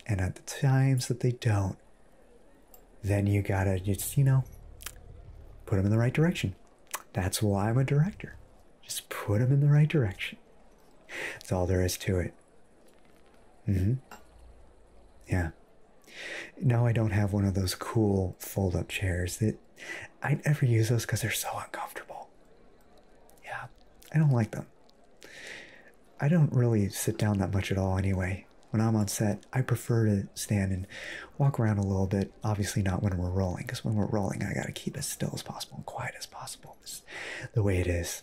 and at the times that they don't, then you gotta just, you know, put them in the right direction. That's why I'm a director. Just put them in the right direction. That's all there is to it. hmm Yeah. Now I don't have one of those cool fold up chairs that I never use those because they're so uncomfortable. Yeah, I don't like them. I don't really sit down that much at all anyway. When I'm on set, I prefer to stand and walk around a little bit. Obviously, not when we're rolling, because when we're rolling, I gotta keep as still as possible and quiet as possible. It's the way it is.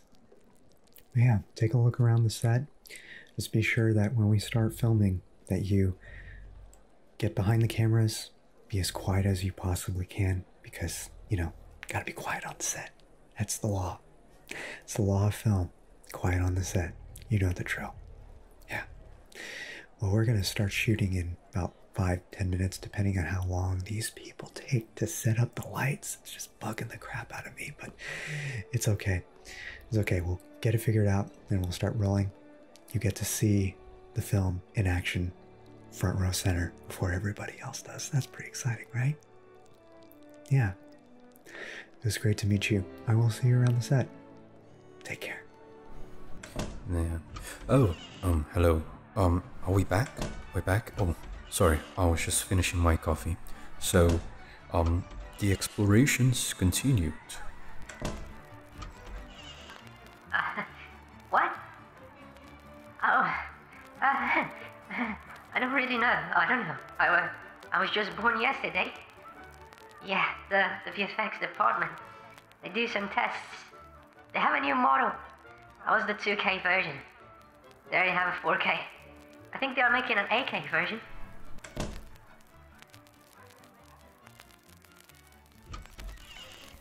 yeah, take a look around the set. Just be sure that when we start filming, that you get behind the cameras, be as quiet as you possibly can because, you know, gotta be quiet on set. That's the law. It's the law of film. Quiet on the set. You know the drill. Yeah. Well, we're gonna start shooting in about five, ten minutes, depending on how long these people take to set up the lights. It's just bugging the crap out of me, but it's okay. It's okay. We'll get it figured out and we'll start rolling. You get to see the film in action front row center before everybody else does. That's pretty exciting, right? Yeah. It was great to meet you. I will see you around the set. Take care. Yeah. Oh, um, hello. Um, are we back? We're back? Oh, sorry. I was just finishing my coffee. So, um, the explorations continued. [LAUGHS] what? Oh. Uh, [LAUGHS] I don't really know. I don't know. I, was just born yesterday. Yeah, the, the VFX department. They do some tests. They have a new model. I was the 2K version. They already have a 4K. I think they are making an 8K version.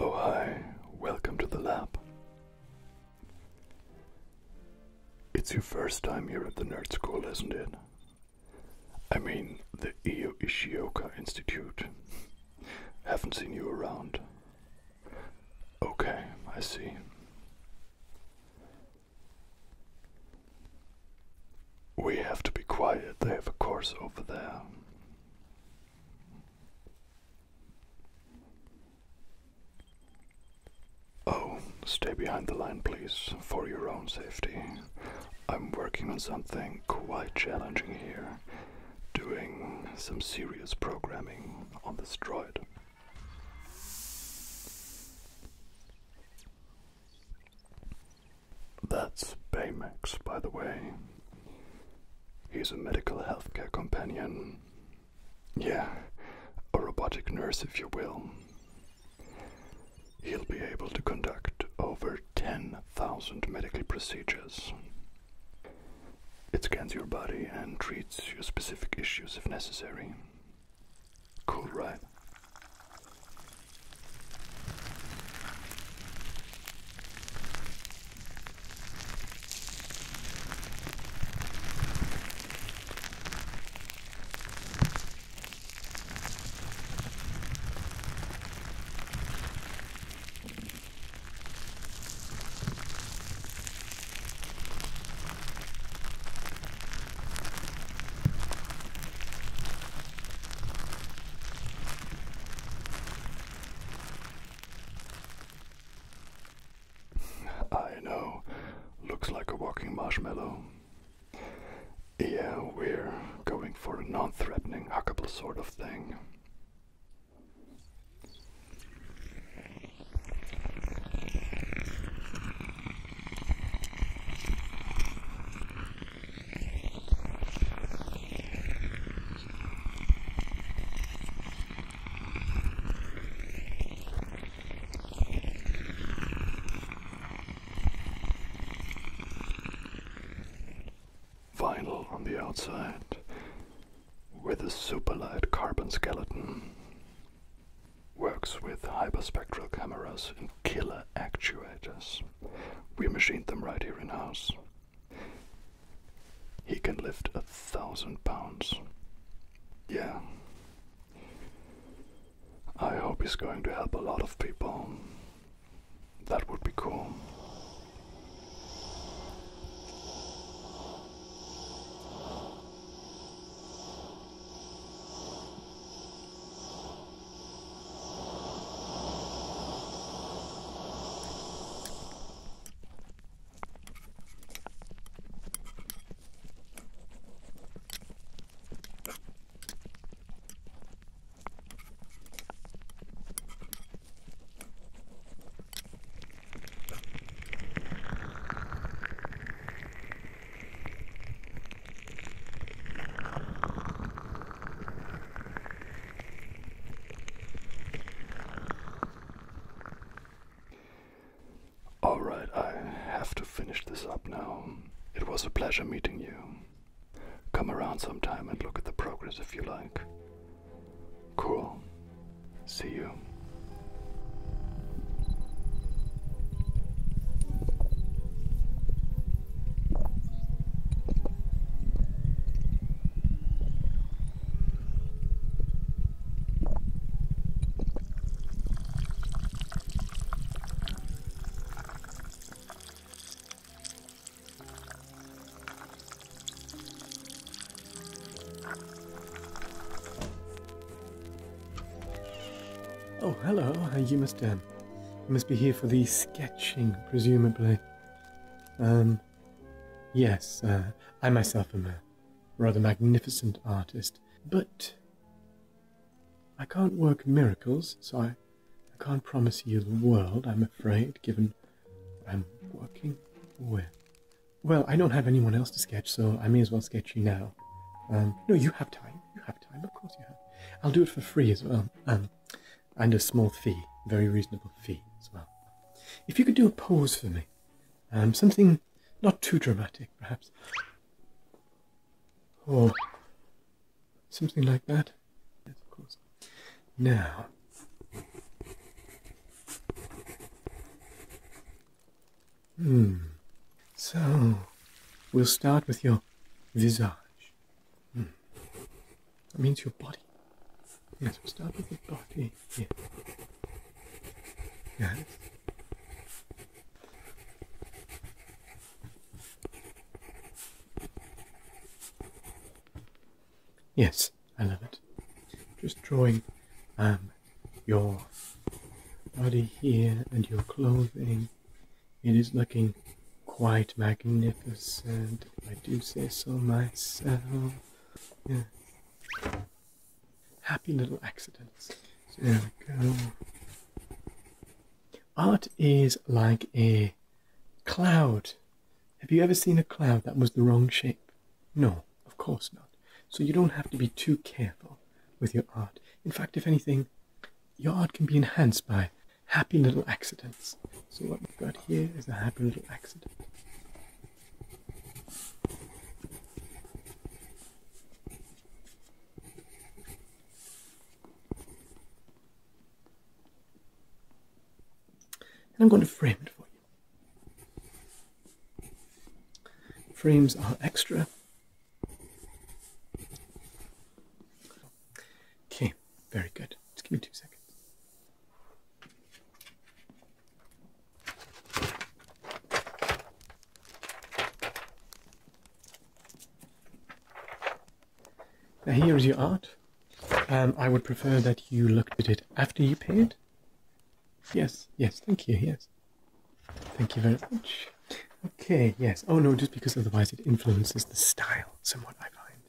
Oh, hi, welcome to the lab. It's your first time here at the Nerd School, isn't it? I mean, the Io Ishioka Institute. Haven't seen you around. Okay, I see. We have to be quiet. They have a course over there. Oh, stay behind the line, please, for your own safety. I'm working on something quite challenging here. Doing some serious programming on this droid. That's Baymax, by the way. He's a medical healthcare companion. Yeah, a robotic nurse, if you will he'll be able to conduct over 10,000 medical procedures. It scans your body and treats your specific issues if necessary. Cool, right? I know, looks like a walking marshmallow. Yeah, we're going for a non threatening, hackable sort of thing. Vinyl on the outside with a superlight carbon skeleton. Works with hyperspectral cameras and killer actuators. We machined them right here in house. He can lift a thousand pounds. Yeah. I hope he's going to help a lot of people. That would be cool. Alright, I have to finish this up now. It was a pleasure meeting you. Come around sometime and look at the progress if you like. Cool. See you. Oh, hello, you must, um, you must be here for the sketching, presumably. Um, yes, uh, I myself am a rather magnificent artist, but I can't work miracles, so I, I can't promise you the world, I'm afraid, given I'm working with. Well, I don't have anyone else to sketch, so I may as well sketch you now. Um, no, you have time. You have time, of course you have. I'll do it for free as well, um, and a small fee, very reasonable fee as well. If you could do a pose for me, um, something not too dramatic, perhaps. Oh, Something like that. Now. Hmm. So, we'll start with your visage. Hmm. That means your body. Yes, we'll start with your body. Yes. Yes. Yes, I love it. Just drawing um, your body here and your clothing. It is looking quite magnificent, I do say so myself. Yeah. Happy little accidents. there we go. Art is like a cloud. Have you ever seen a cloud that was the wrong shape? No, of course not. So you don't have to be too careful with your art. In fact, if anything, your art can be enhanced by happy little accidents. So what we've got here is a happy little accident. And I'm going to frame it for you. Frames are extra. Okay, very good. Just give me two seconds. Now here is your art. Um, I would prefer that you looked at it after you paid. Yes, yes, thank you, yes. Thank you very much. Okay, yes. Oh no, just because otherwise it influences the style somewhat, I find.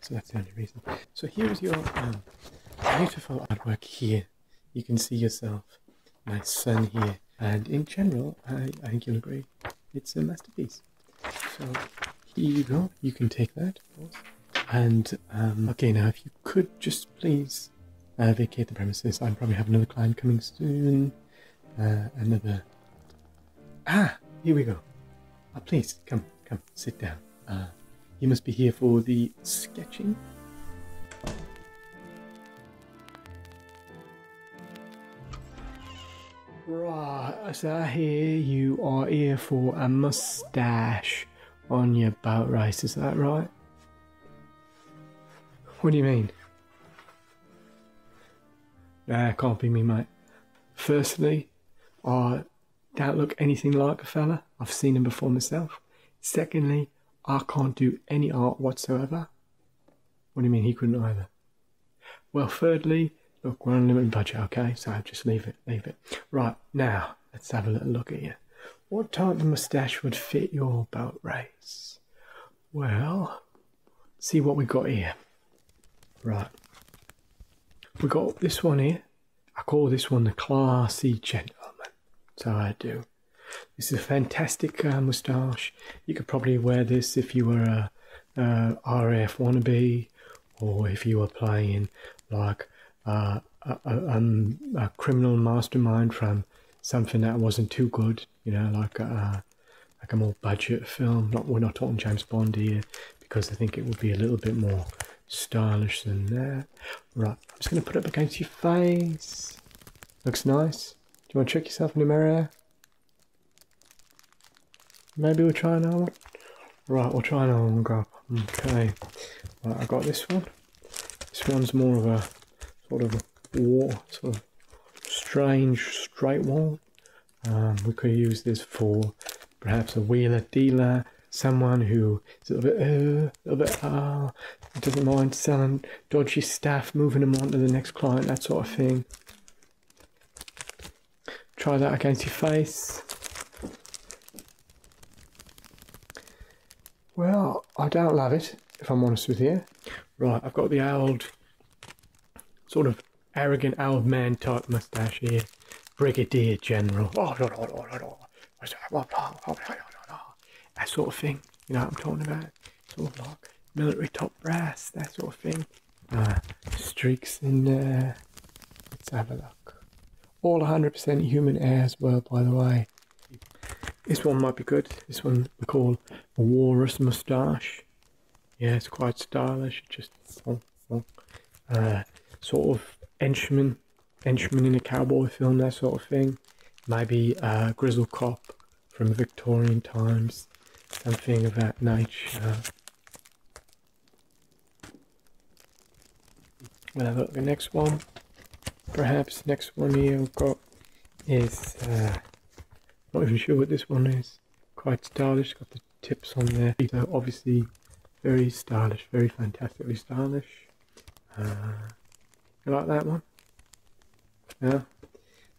So that's the only reason. So here is your um, beautiful artwork here. You can see yourself, my son here. And in general, I think you'll agree, it's a masterpiece. So here you go. You can take that, And um, okay, now if you could just please uh, vacate the premises. I am probably have another client coming soon. Uh, another. Ah, here we go. Uh, please come, come, sit down. Uh, you must be here for the sketching. Right, so I hear you are here for a mustache on your boat race, is that right? What do you mean? Nah, can't be me, mate. Firstly, I don't look anything like a fella. I've seen him before myself. Secondly, I can't do any art whatsoever. What do you mean he couldn't either? Well, thirdly, look, we're on a limited budget, okay? So just leave it, leave it. Right, now, let's have a little look at you. What type of moustache would fit your boat race? Well, see what we got here. Right. We got this one here. I call this one the classy gentleman. So I do. This is a fantastic uh, moustache. You could probably wear this if you were a, uh, RF wannabe, or if you were playing like uh, um, a, criminal mastermind from something that wasn't too good, you know, like a, uh, like a more budget film. Not we're not talking James Bond here because I think it would be a little bit more stylish than that. Right, I'm just going to put it against your face. Looks nice. Do you want to check yourself in the mirror? Maybe we'll try another Right, we'll try another one Okay. I got this one. This one's more of a sort of a wall, sort of strange straight wall. Um, we could use this for perhaps a wheeler dealer, someone who is a little bit, uh, a bit, uh, doesn't mind selling dodgy stuff, moving them on to the next client, that sort of thing. Try that against your face. Well, I don't love it, if I'm honest with you. Right, I've got the old, sort of arrogant old man type moustache here. Brigadier General. Oh no no no no no That sort of thing. You know what I'm talking about? It's all like military top brass, that sort of thing uh, streaks in there. Let's have a look. All 100% human hair as well, by the way. This one might be good. This one we call a walrus moustache. Yeah, it's quite stylish. Just oh, oh. Uh, sort of henchman, henchman in a cowboy film, that sort of thing. Maybe a uh, grizzle cop from Victorian times, something of that nature. We'll have a the next one. Perhaps next one here have got is, uh, not even sure what this one is. Quite stylish, got the tips on there. So obviously very stylish, very fantastically stylish. Uh, like that one? Yeah.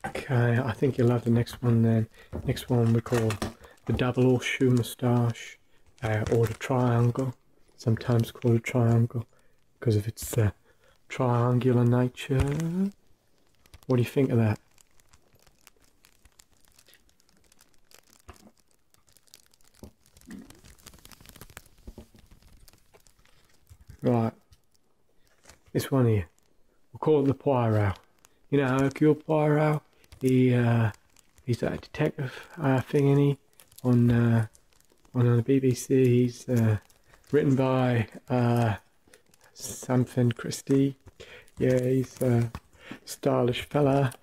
Okay, I think you'll have the next one then. Next one we call the double horseshoe moustache uh, or the triangle. Sometimes called a triangle because of its uh, triangular nature. What do you think of that? Right, this one here. We'll call it the Poirot. You know Hercule Poirot? He, uh, he's that detective uh, thingy uh, on, on, the BBC. He's written by something Christie. Yeah, he's a stylish fella.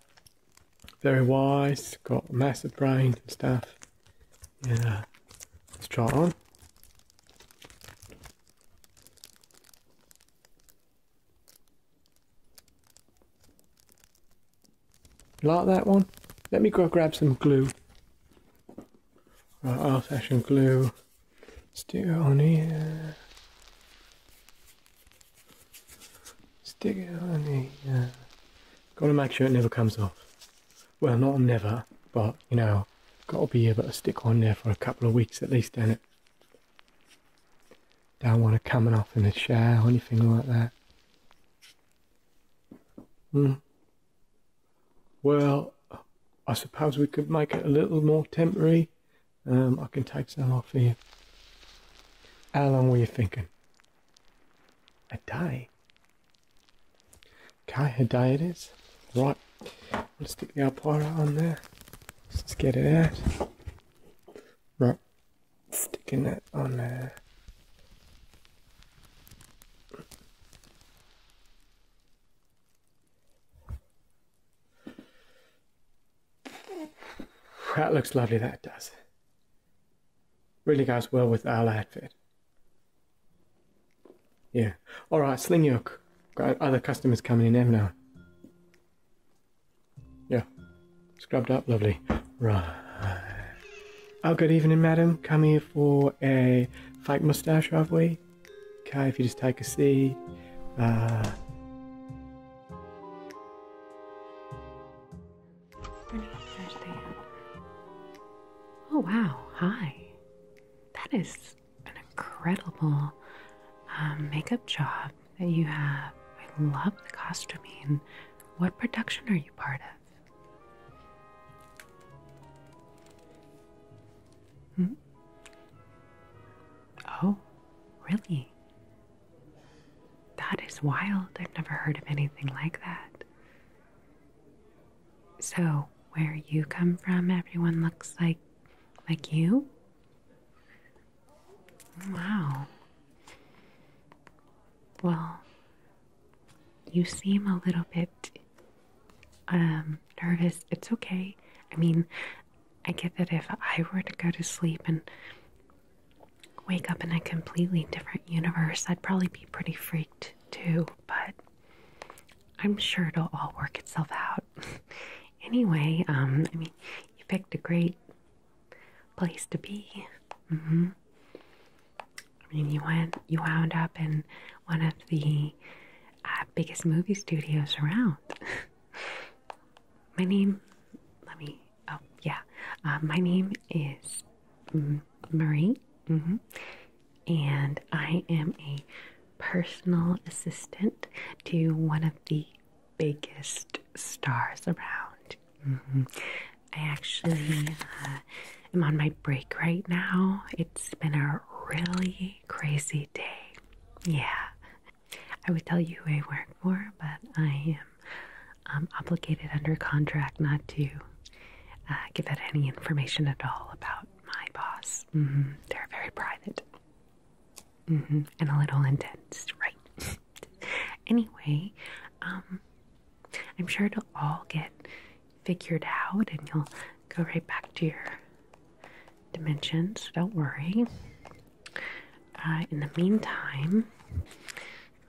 Very wise, got a massive brain and stuff. Yeah, let's try it on. Like that one? Let me go grab some glue. Our i glue. Stick it on here. Stick it on here. Gotta make sure it never comes off. Well, not never, but you know, gotta be able to stick on there for a couple of weeks at least, ain't it? Don't want to come coming off in a chair or anything like that. Hmm. Well, I suppose we could make it a little more temporary. Um, I can take some off here. How long were you thinking? A day. Okay, a day it is. Right. I'll stick the applier on there. Let's get it out. Right, sticking that on there. That looks lovely, that does. Really goes well with our outfit. Yeah. All right, sling your got other customers coming in every now. Yeah, scrubbed up, lovely. Right. Oh, good evening, madam. Come here for a fake mustache, have we? Okay, if you just take a seat. Uh, oh wow, hi. That is an incredible um, makeup job that you have. I love the costuming. What production are you part of? Hmm? Oh, really? That is wild. I've never heard of anything like that. So, where you come from, everyone looks like like you? Wow. Well, you seem a little bit um, nervous. It's okay. I mean, I get that if I were to go to sleep and wake up in a completely different universe, I'd probably be pretty freaked too, but I'm sure it'll all work itself out. [LAUGHS] anyway, um, I mean, you picked a great place to be. mm you went, you wound up in one of the uh, biggest movie studios around. [LAUGHS] my name, let me, oh yeah, uh, my name is Marie, mm-hmm. and I am a personal assistant to one of the biggest stars around. Mm-hmm. I actually uh, am on my break right now. It's been a really crazy day. Yeah, I would tell you who I work for, but I am um, obligated under contract not to uh, give out any information at all about my boss. Mm-hmm. They're very private. Mm-hmm. And a little intense, right? [LAUGHS] anyway, um, I'm sure it'll all get figured out and you'll go right back to your dimensions, so don't worry. Uh, in the meantime,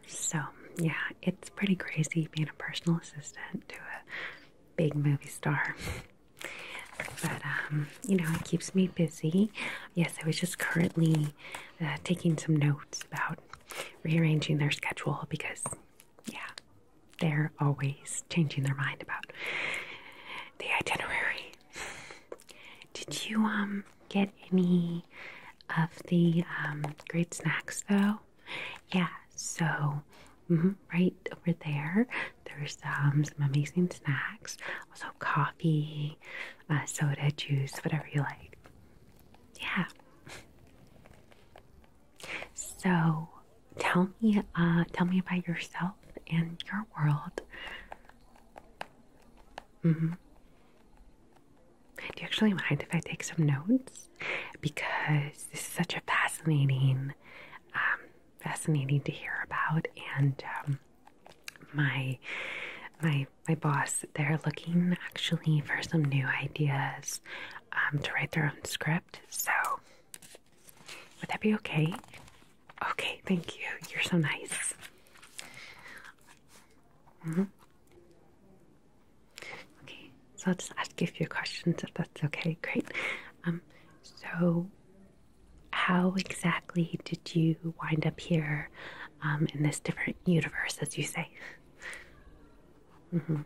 so yeah, it's pretty crazy being a personal assistant to a big movie star. But um, you know, it keeps me busy. Yes, I was just currently uh, taking some notes about rearranging their schedule because, yeah, they're always changing their mind about the itinerary. Did you um get any of the um, great snacks though? Yeah, so mm-hmm, right over there there's um, some amazing snacks, also coffee, uh, soda, juice, whatever you like. Yeah. So, tell me, uh, tell me about yourself and your world. Mm -hmm. Do you actually mind if I take some notes? Because this is such a fascinating, um, fascinating to hear about, and um, my my my boss they're looking actually for some new ideas um, to write their own script so would that be okay okay thank you you're so nice mm-hmm. okay so i'll just ask you a few questions if that's okay great um so how exactly did you wind up here um, in this different universe, as you say? Mm-hmm.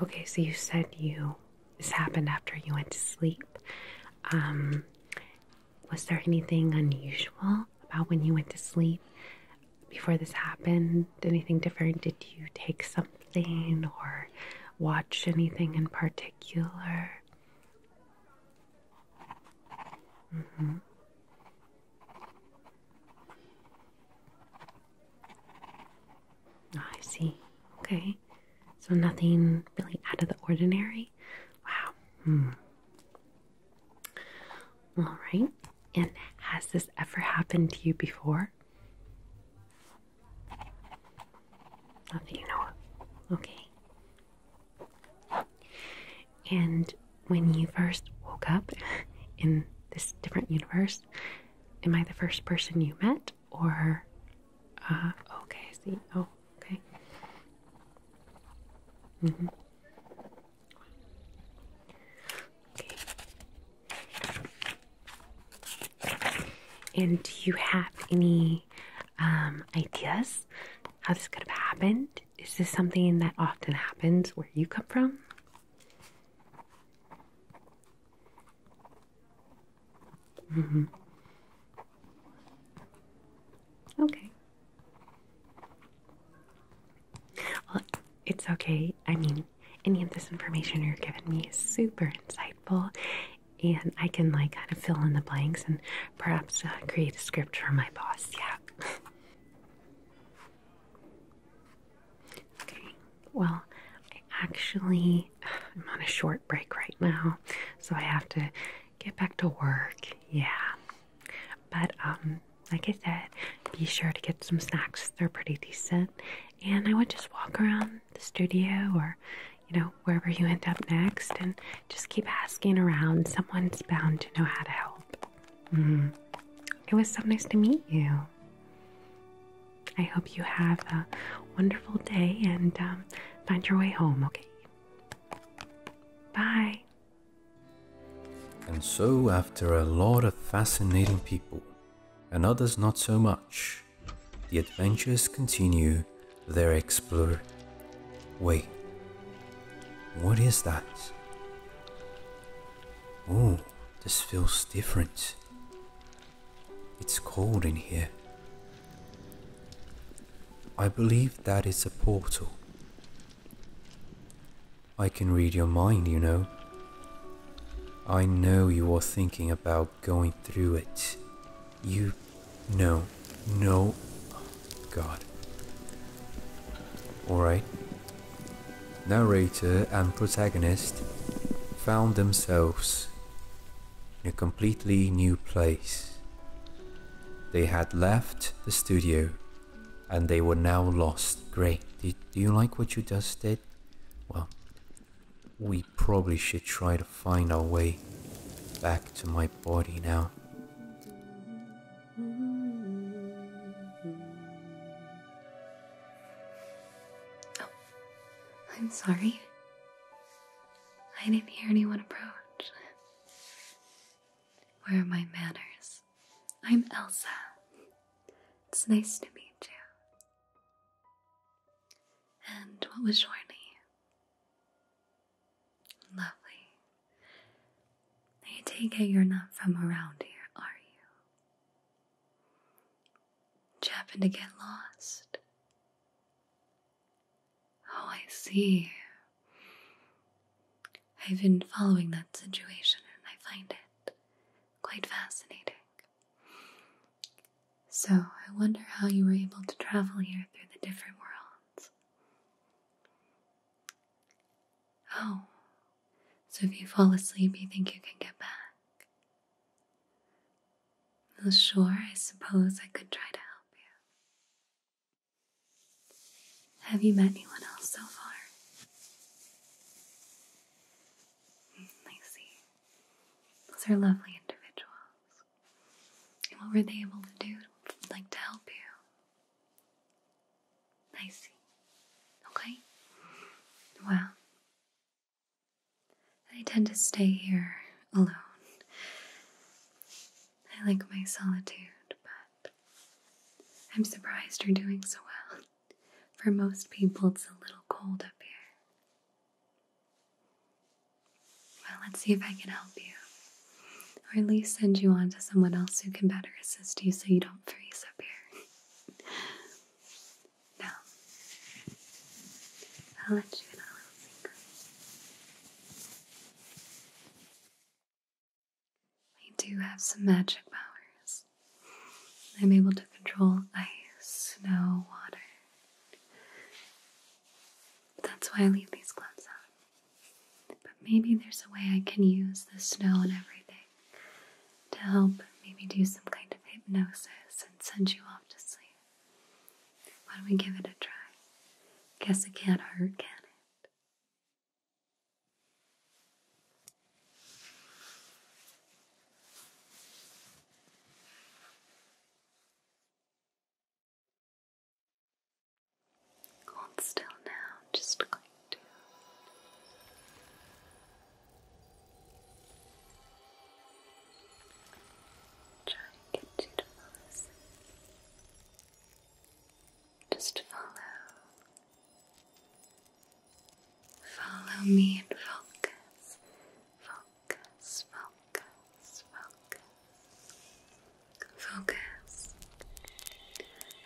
Okay, so you said you this happened after you went to sleep. Um, was there anything unusual about when you went to sleep before this happened? Anything different? Did you take something? or watch anything in particular? Mm-hmm. Ah, I see. Okay. So nothing really out of the ordinary. Wow. Hmm. All right. And has this ever happened to you before? Not that you know of. Okay. And when you first woke up [LAUGHS] in this different universe, am I the first person you met? Or, uh, okay, see. Oh, okay. Mm -hmm. And do you have any um, ideas how this could have happened? Is this something that often happens where you come from? Mm-hmm. Okay. Well, it's okay. I mean, any of this information you're giving me is super insightful and I can like kind of fill in the blanks and perhaps uh, create a script for my boss. Yeah. [LAUGHS] okay. Well, I actually I'm on a short break right now, so I have to get back to work. Yeah. But um like I said, be sure to get some snacks. They're pretty decent. And I would just walk around the studio or you know wherever you end up next and just keep asking around someone's bound to know how to help mm-hmm. it was so nice to meet you i hope you have a wonderful day and um, find your way home okay bye and so after a lot of fascinating people and others not so much the adventures continue their explore. Wait, what is that? Oh, this feels different. It's cold in here. I believe that is a portal. I can read your mind, you know. I know you are thinking about going through it. You know, no, God. Alright. Narrator and protagonist found themselves in a completely new place. They had left the studio and they were now lost. Great. Do, do you like what you just did? Well, we probably should try to find our way back to my body now. Oh, I'm sorry. I didn't hear anyone approach. Where are my manners? I'm Elsa. It's nice to meet you. And what was your name? Lovely. I take it you're not from around here, are you? Did to get lost? Oh, I see. I've been following that situation and I find it quite fascinating. So I wonder how you were able to travel here through the different worlds. Oh, so if you fall asleep, you think you can get back? Well, sure, I suppose I could try to help you. Have you met anyone else so far? Hmm, I see. Those are lovely individuals. And what were they able to do, like to help you? I see. Okay. Well, I tend to stay here alone. I like my solitude, but I'm surprised you're doing so well. For most people, it's a little cold up here. Well, let's see if I can help you. Or at least send you on to someone else who can better assist you so you don't freeze up here. [LAUGHS] now, I'll let you in a little secret. I do have some magic powers. I'm able to control ice, snow, water, that's why I leave these gloves on. But maybe there's a way I can use the snow and everything to help maybe do some kind of hypnosis and send you off to sleep. Why don't we give it a try? Guess it can't hurt, can it? Hold still now, just going to. Try and get you to fall Just follow. Follow me and focus. Focus focus, focus, focus,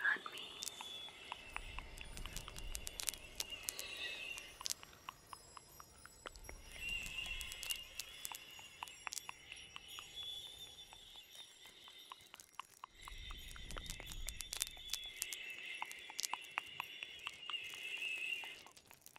on me.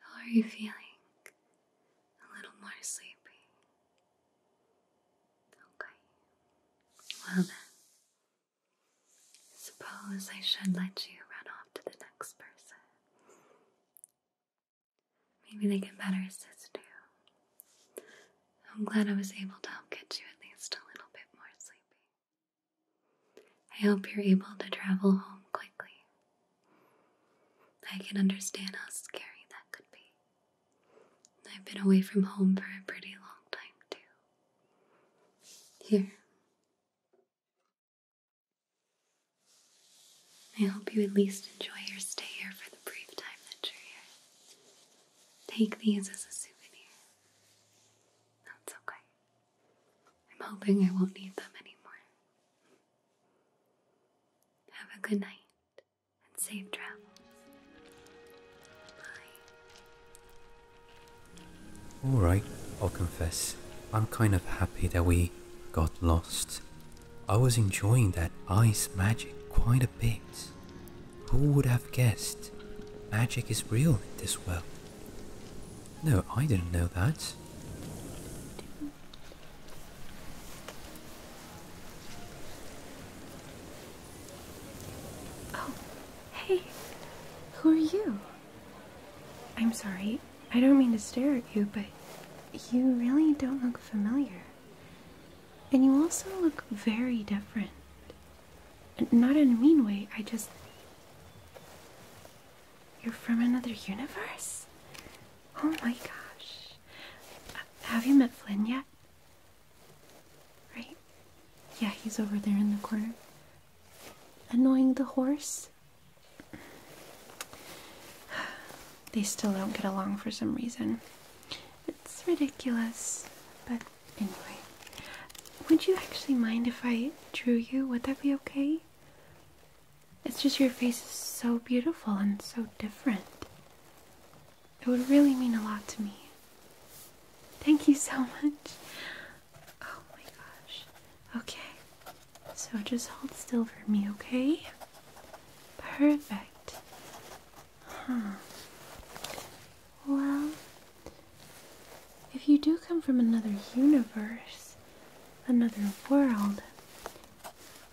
How are you feeling? A little more sleepy. Okay. Well then, suppose I should let you run off to the next person. Maybe they can better assist you. I'm glad I was able to help get you at least a little bit more sleepy. I hope you're able to travel home quickly. I can understand how scary that could be. I've been away from home for a pretty long time, too. Here. I hope you at least enjoy your stay here for the brief time that you're here. Take these as a souvenir. That's okay. I'm hoping I won't need them anymore. Have a good night and safe travels. Bye. Alright, I'll confess. I'm kind of happy that we got lost I was enjoying that ice magic quite a bit. Who would have guessed? Magic is real in this world. No, I didn't know that. Oh, hey. Who are you? I'm sorry. I don't mean to stare at you, but you really don't look familiar. And you also look very different. Not in a mean way, I just. You're from another universe? Oh my gosh. Have you met Flynn yet? Right? Yeah, he's over there in the corner. Annoying the horse? they still don't get along for some reason. It's ridiculous, but anyway. Would you actually mind if I drew you? Would that be okay? It's just your face is so beautiful and so different. It would really mean a lot to me. Thank you so much. Oh my gosh. Okay. So just hold still for me, okay? Perfect. Huh. Well, if you do come from another universe, another world,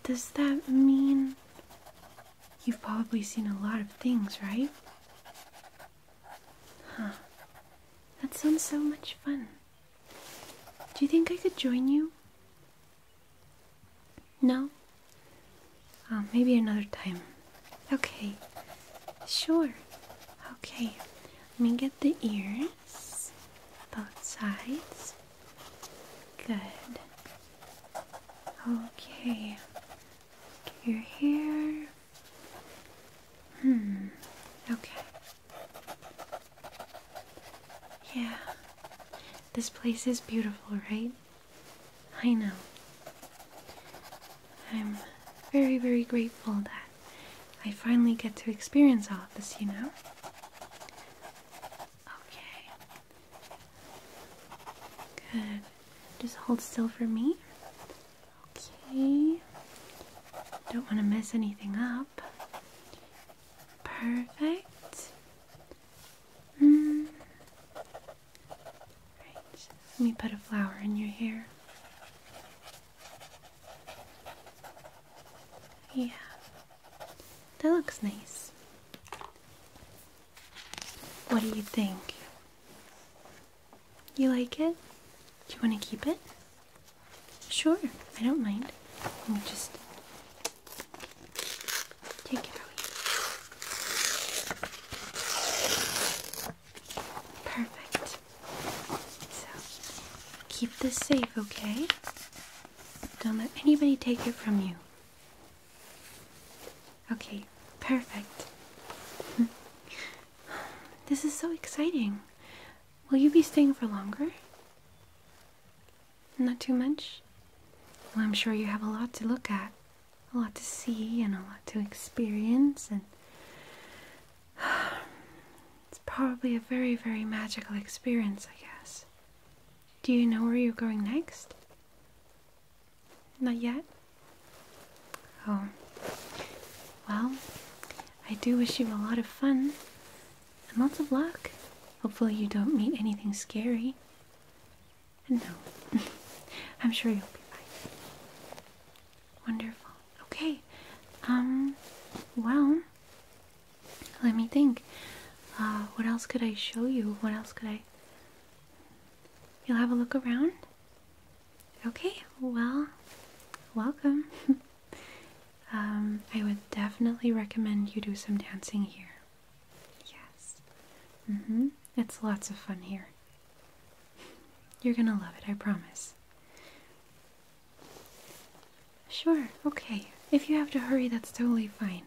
does that mean you've probably seen a lot of things, right? Huh. That sounds so much fun. Do you think I could join you? No? Ah, maybe another time. Okay. Sure. Okay. Let me get the ears. Both sides. Good. Okay. your hair. Hmm. Okay. Yeah. This place is beautiful, right? I know. I'm very, very grateful that I finally get to experience all of this, you know? Okay. Good. Just hold still for me. Okay. Don't want to mess anything up. Perfect. Mm let me put a flower in your hair. Yeah, that looks nice. What do you think? You like it? Do you want to keep it? Sure, I don't mind. Let me just Take it away. Perfect. So, keep this safe, okay? Don't let anybody take it from you. Okay, perfect. [LAUGHS] This is so exciting. Will you be staying for longer? Not too much? Well, I'm sure you have a lot to look at a lot to see and a lot to experience, and [SIGHS] it's probably a very, very magical experience, I guess. Do you know where you're going next? Not yet? Oh. Well, I do wish you a lot of fun and lots of luck. Hopefully, you don't meet anything scary. And no, [LAUGHS] I'm sure you'll be fine. Wonderful. Okay. Um, well, let me think. Uh, what else could I show you? What else could I? You'll have a look around? Okay, well, welcome. [LAUGHS] um, I would definitely recommend you do some dancing here. Yes. hmm. It's lots of fun here. You're gonna love it, I promise. Sure, okay. If you have to hurry, that's totally fine.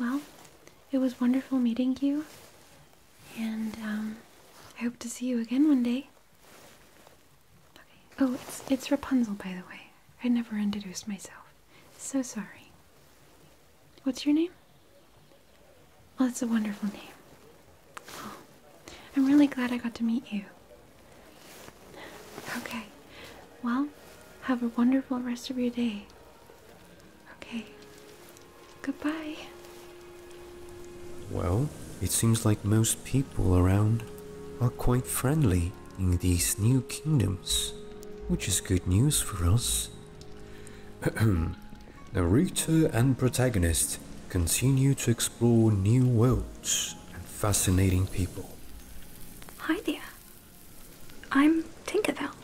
Well, it was wonderful meeting you, and um, I hope to see you again one day. Okay. Oh, it's it's Rapunzel, by the way. I never introduced myself. So sorry. What's your name? Well, it's a wonderful name. Oh, I'm really glad I got to meet you. Okay. Well, have a wonderful rest of your day. Okay. Goodbye. Well, it seems like most people around are quite friendly in these new kingdoms, which is good news for us. The [CLEARS THROAT] Narrator and protagonist continue to explore new worlds and fascinating people. Hi there. I'm Tinkerbell.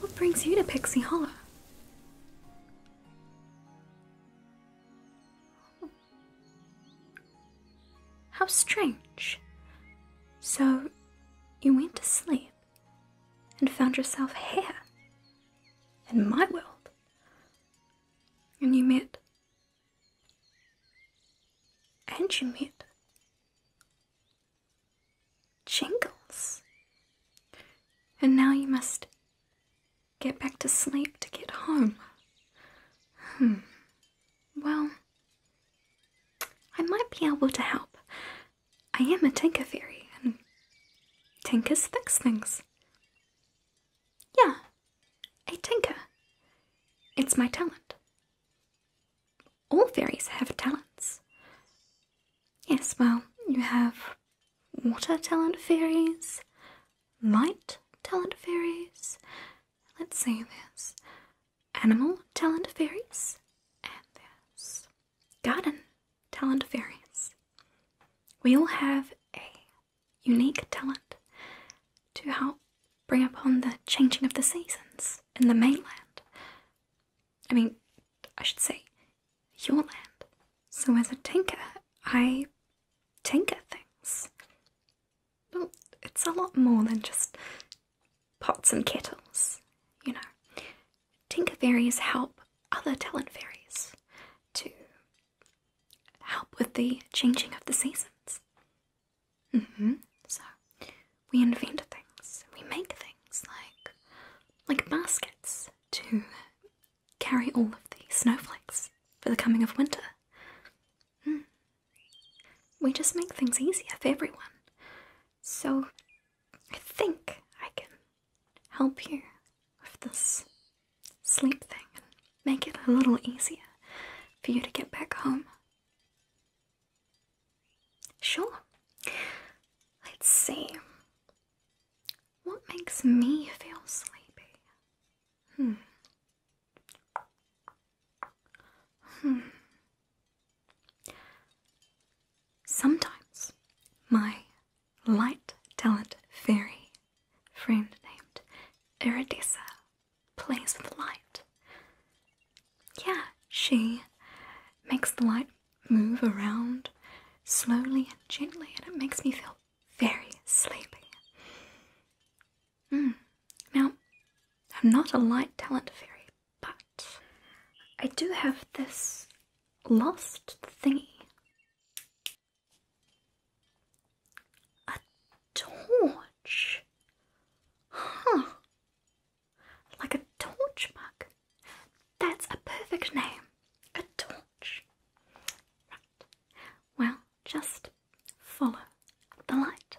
What brings you to Pixie Hollow? How strange. So, you went to sleep and found yourself here in my world. And you met. And you met. Jingles. And now you must get back to sleep to get home. Hmm. Well, I might be able to help. I am a Tinka fairy, and Tinkas fix things. Yeah, a Tinka. It's my talent. All fairies have talents. Yes, well, you have water talent fairies, might talent fairies. Let's see, this animal talent fairies and there's garden talent fairies. We all have a unique talent to help bring upon the changing of the seasons in the mainland. I mean, I should say, your land. So as a tinker, I tinker things. Well, it's a lot more than just pots and kettles, you know. Tinker fairies help other talent fairies to help with the changing of the seasons. Mm-hmm. So we invent things, we make things like like baskets to carry all of the snowflakes for the coming of winter. Hmm. We just make things easier for everyone. So I think I can help you with this sleep thing and make it a little easier for you to get back home. Sure. Let's see. What makes me feel sleepy? Hmm. Hmm. Sometimes my light talent fairy friend named Iridesa plays with light. Yeah, she makes the light move around slowly and gently, and it makes me feel very sleepy. Mm. Now, I'm not a light talent fairy, but I do have this lost thingy. A torch. Huh. Like a torch mug. That's a perfect name. A torch. Right. Well, just follow the light.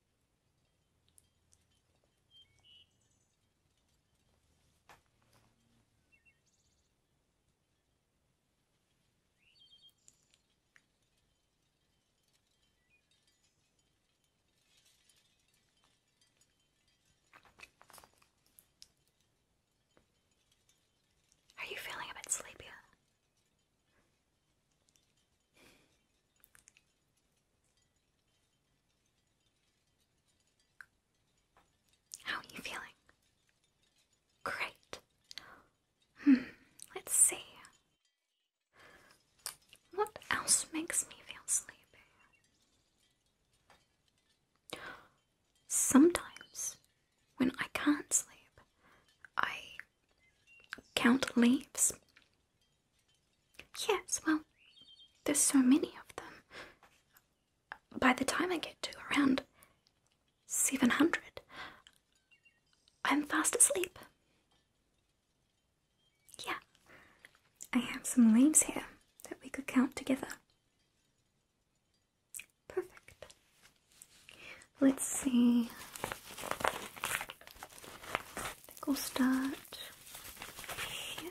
Are you feeling a bit sleepy? How are you feeling? Great. Hmm, let's see. What else makes me feel sleepy? Sometimes, when I can't sleep, I count leaves Yes, well, there's so many of them. By the time I get to around 700, I'm fast asleep. Yeah, I have some leaves here that we could count together. Perfect. Let's see. I think we'll start here.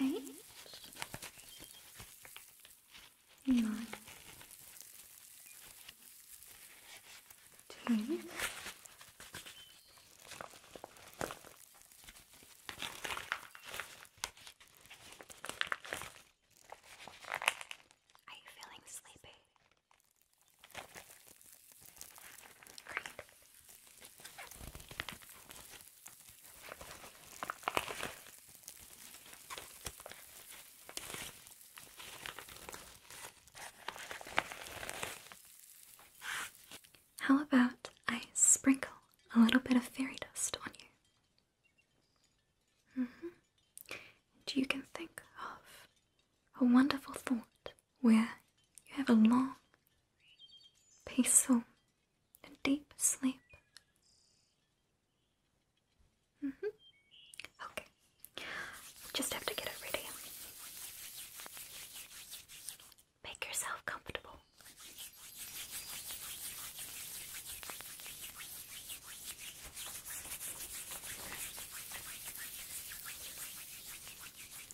Eight. Are you feeling sleepy? How about I sprinkle a little bit of fairy dust on you? -hmm. And you can think of a wonderful thought where you have a long, peaceful, and deep sleep. Mm-hmm. Okay, just have to get it ready. Make yourself comfortable.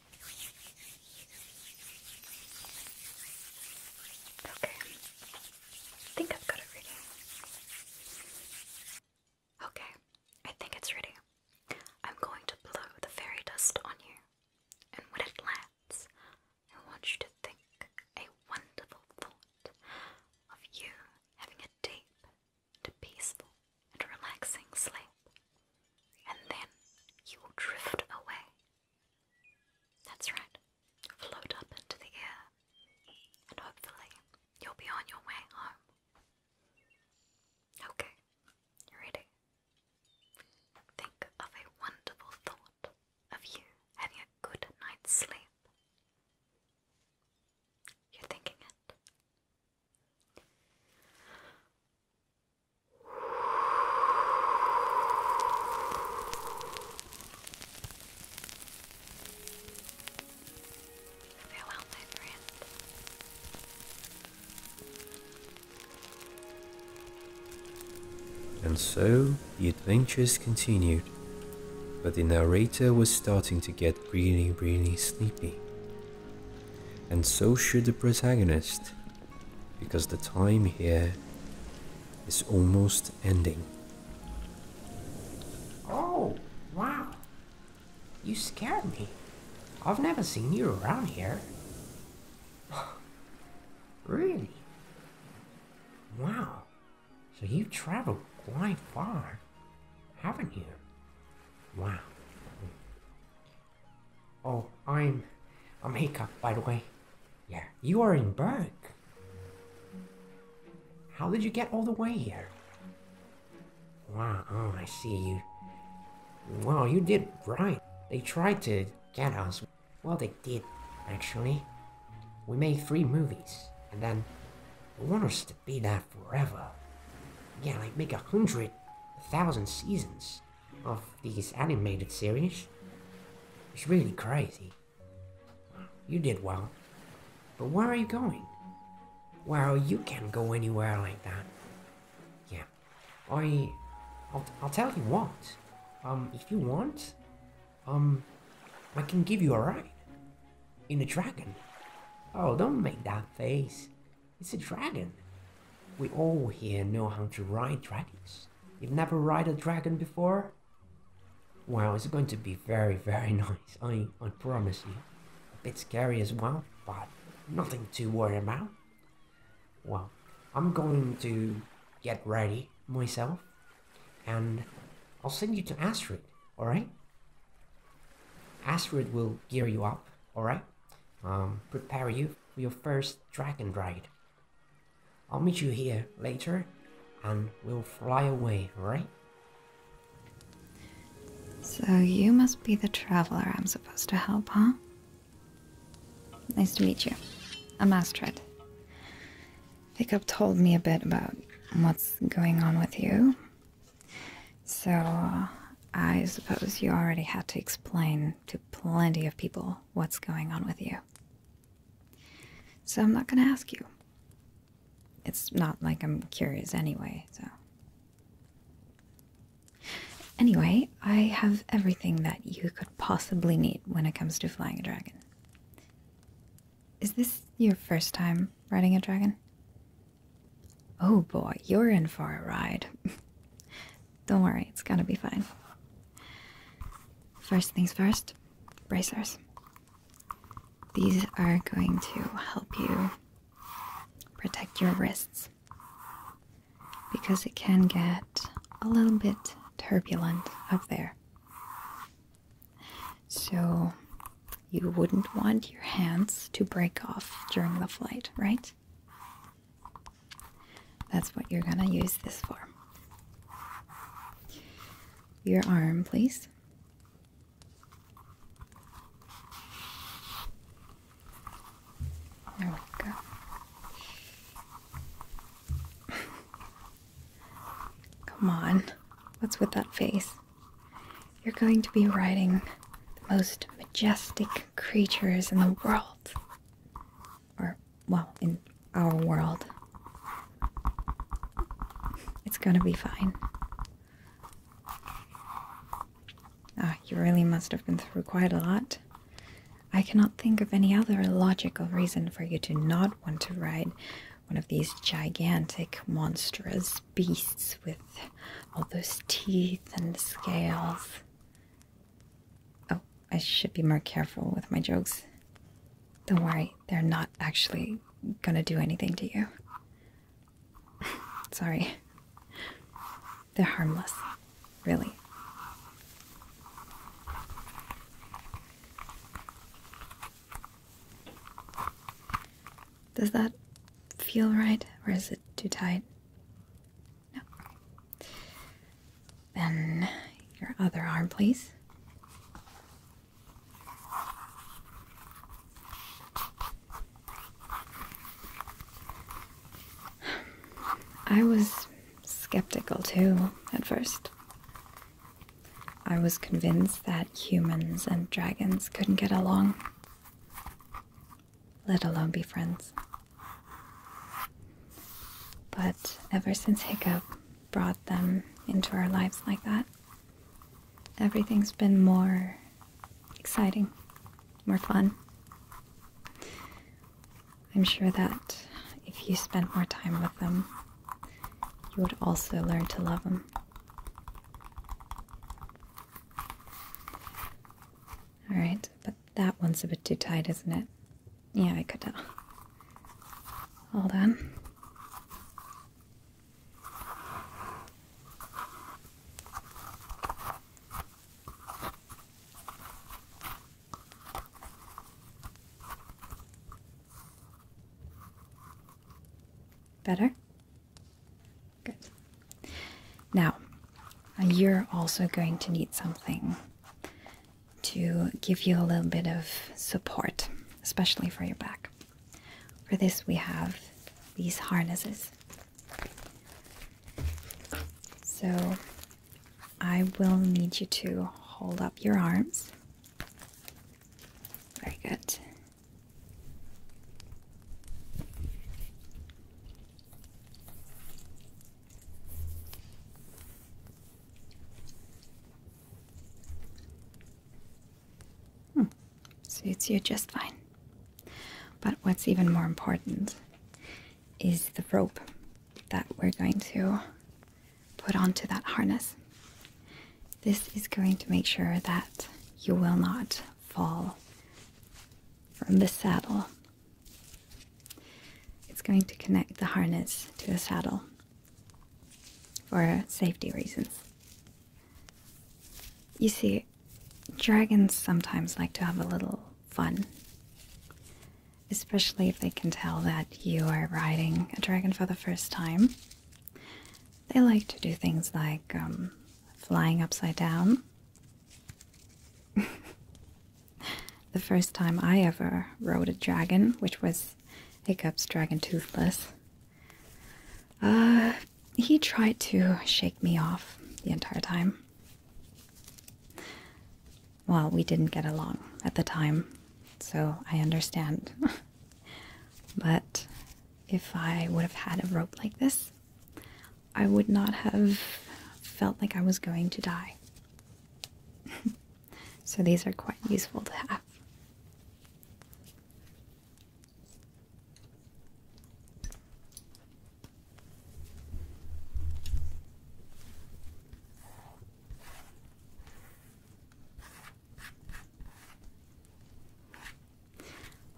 Okay. I think I've got it Okay, I think it's ready. I'm going to blow the fairy dust on you, and when it lands, I want you to think a wonderful thought of you having a deep and peaceful and relaxing sleep, and then you will drift away that's right, float up into the air, and hopefully you'll be on your way home. Okay, ready? Think of a wonderful thought of you having a good night's sleep. You're thinking it. And so the adventures continued, but the narrator was starting to get really, really sleepy. And so should the protagonist, because the time here is almost ending. Oh, wow. You scared me. I've never seen you around here. [LAUGHS] really? Wow. So you've traveled quite far, haven't you? Wow. Oh, I'm I'm Hiccup, by the way. Yeah, you are in Berg. How did you get all the way here? Wow, oh, ah, ah, I see you. Wow, you did right. They tried to get us. Well, they did, actually. We made three movies, and then they want us to be there forever. Yeah, like make a hundred, thousand seasons of these animated series. It's really crazy. You did well. But where are you going? Well, you can't go anywhere like that. Yeah. I... I'll, I'll tell you what. Um, if you want, um, I can give you a ride. In a dragon. Oh, don't make that face. It's a dragon. We all here know how to ride dragons. You've never ride a dragon before? Well, it's going to be very, very [LAUGHS] nice, I, I promise you. A bit scary as well, but nothing to worry about. Well, I'm going to get ready myself, and I'll send you to Astrid, alright? Astrid will gear you up, alright? Um, prepare you for your first dragon ride, I'll meet you here later and we'll fly away, right? So you must be the traveler I'm supposed to help, huh? Nice to meet you. I'm Astrid. Pickup told me a bit about what's going on with you. So, uh, I suppose you already had to explain to plenty of people what's going on with you. So I'm not going to ask you. It's not like I'm curious anyway, so. Anyway, I have everything that you could possibly need when it comes to flying a dragon. Is this your first time riding a dragon? Oh boy, you're in for a ride. [LAUGHS] Don't worry, it's gonna be fine. First things first, bracers. These are going to help you protect your wrists because it can get a little bit turbulent up there. So, you wouldn't want your hands to break off during the flight, right? That's what you're going to use this for. Your arm, please. There we go. [LAUGHS] Come on. What's with that face? You're going to be riding the most majestic creatures in the world or well, in our world. It's gonna be fine. Ah, you really must have been through quite a lot. I cannot think of any other logical reason for you to not want to ride one of these gigantic, monstrous beasts with all those teeth and scales. Oh, I should be more careful with my jokes. Don't worry, they're not actually gonna do anything to you. Sorry. They're harmless, really. Does that feel right, or is it too tight? No. Then your other arm, please. I was skeptical too at first. I was convinced that humans and dragons couldn't get along, let alone be friends. But ever since Hiccup brought them into our lives like that, everything's been more exciting, more fun. I'm sure that if you spent more time with them, you would also learn to love them. Alright, but that one's a bit too tight, isn't it? Yeah, I could tell. Hold on. Better? Good. Now, you're also going to need something to give you a little bit of support, especially for your back. For this, we have these harnesses. So I will need you to hold up your arms. Very good. Hmm. Suits you just fine. But what's even more important is the rope that we're going to put onto that harness. This is going to make sure that you will not fall from the saddle it's going to connect the harness to the saddle for safety reasons. You see, dragons sometimes like to have a little fun, especially if they can tell that you are riding a dragon for the first time. They like to do things like um, flying upside down. [LAUGHS] The first time I ever rode a dragon, which was Hiccup's dragon toothless, uh, he tried to shake me off the entire time. Well, we didn't get along at the time, so I understand. [LAUGHS] but if I would have had a rope like this, I would not have felt like I was going to die. [LAUGHS] So these are quite useful to have.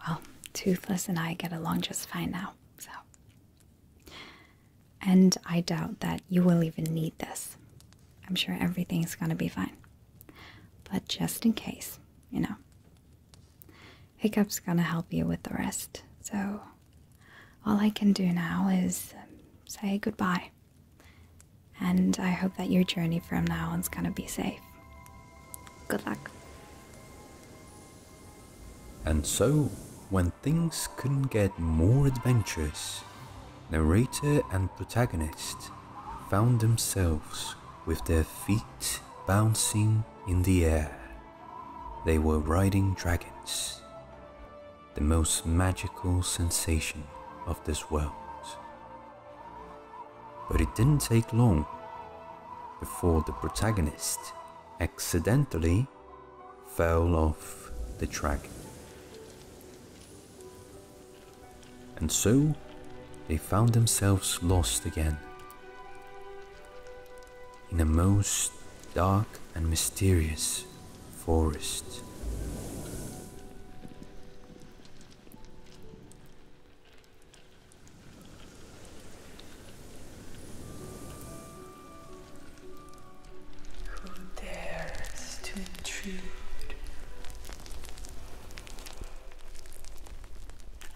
Well, Toothless and I get along just fine now, so and I doubt that you will even need this. I'm sure everything's gonna be fine. But just in case, you know. Hiccup's gonna help you with the rest, so all I can do now is say goodbye. And I hope that your journey from now on's gonna be safe. Good luck. And so, when things couldn't get more adventurous, narrator and protagonist found themselves with their feet bouncing in the air. They were riding dragons, the most magical sensation of this world. But it didn't take long before the protagonist accidentally fell off the track. And so they found themselves lost again in a most dark and mysterious forest. Who dares to intrude?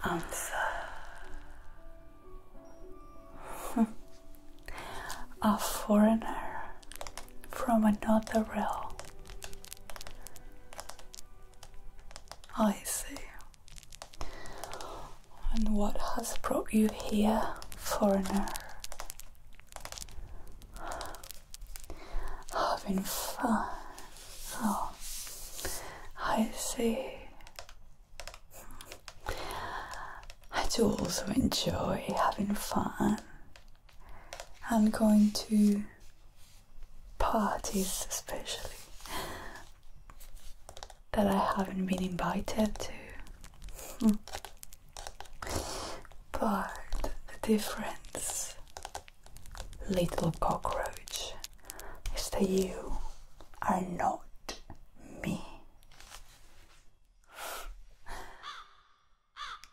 Answer. [LAUGHS] A foreigner from another realm. I see. And what has brought you here, foreigner? having fun. Oh, I see. I do also enjoy having fun I'm going to parties, especially that I haven't been invited to. Hmm. But the difference, little cockroach, is that you are not me.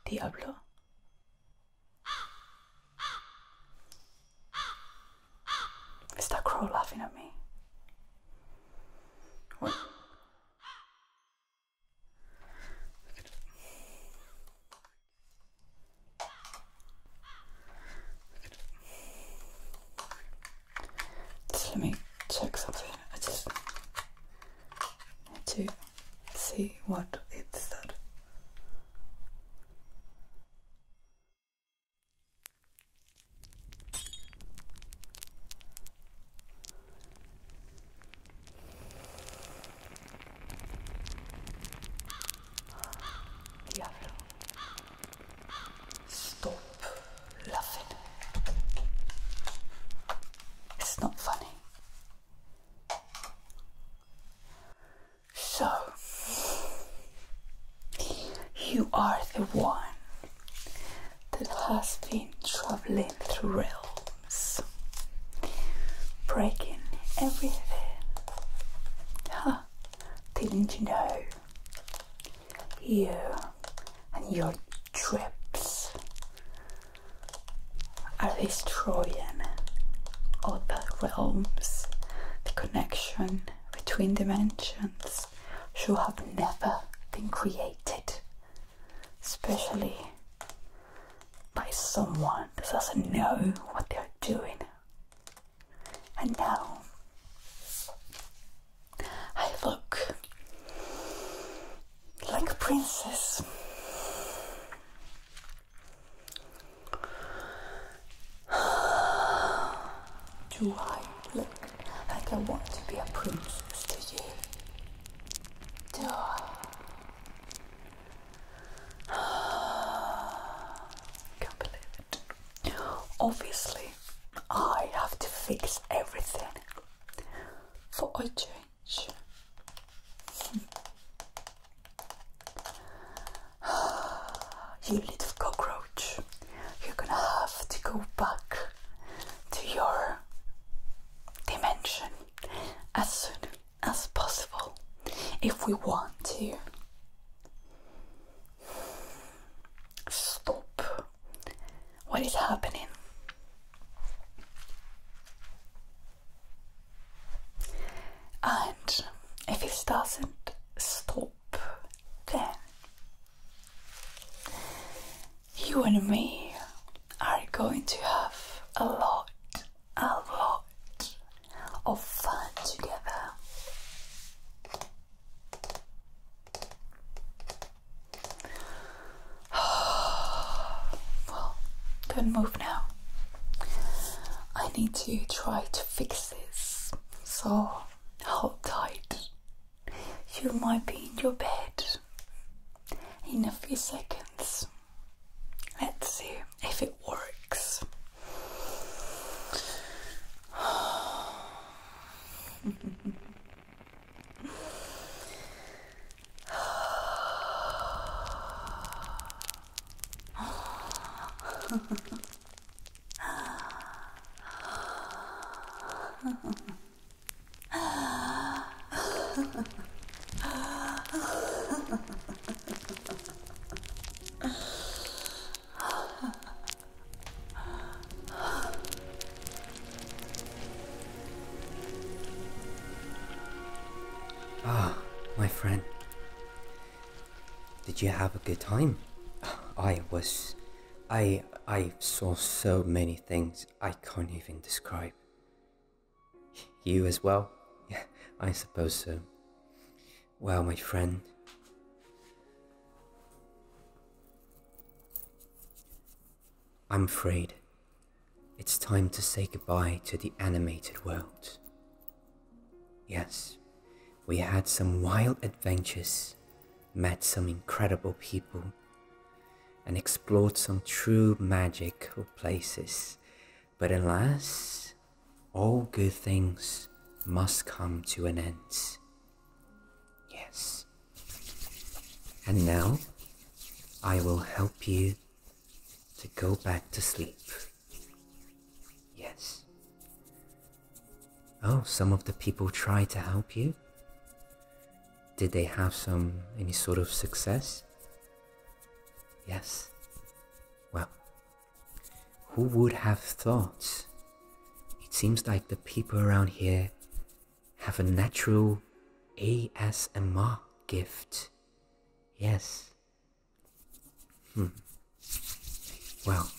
Diablo. Is that crow laughing at me? What? Just let me check something. I just need to see what it's that. Diavolo. Stop laughing. It's not funny. So, you are the one that has been traveling through realms, breaking everything. Huh, did you know? You and your trips are destroying other realms, the connection between dimensions should have never been created, especially by someone that doesn't know what they're doing. And now I look like a princess. Do I look like I want to be a princess to you? Can't believe it. Obviously, I have to fix everything for a change. [SIGHS] you little cockroach, you're gonna have to go back to your dimension as soon as possible if we want to. Stop. What is happening? And if it doesn't stop, then you and me are going to have a lot, a lot of fun together. [SIGHS] don't move now. I need to try to fix this. So hold tight. You might be in your bed in a few seconds. Let's see if it works. [LAUGHS] Ah, my friend. Did you have a good time? I was. I I saw so many things I can't even describe. You as well? Yeah, I suppose so. Well, my friend. I'm afraid it's time to say goodbye to the animated world. Yes, we had some wild adventures, met some incredible people, and explored some true magical places. But alas, all good things must come to an end. Yes. And now, I will help you to go back to sleep. Yes. Oh, some of the people tried to help you. Did they have some any sort of success? Yes. Well, who would have thought? It seems like the people around here have a natural ASMR gift. Yes. Hmm. Well,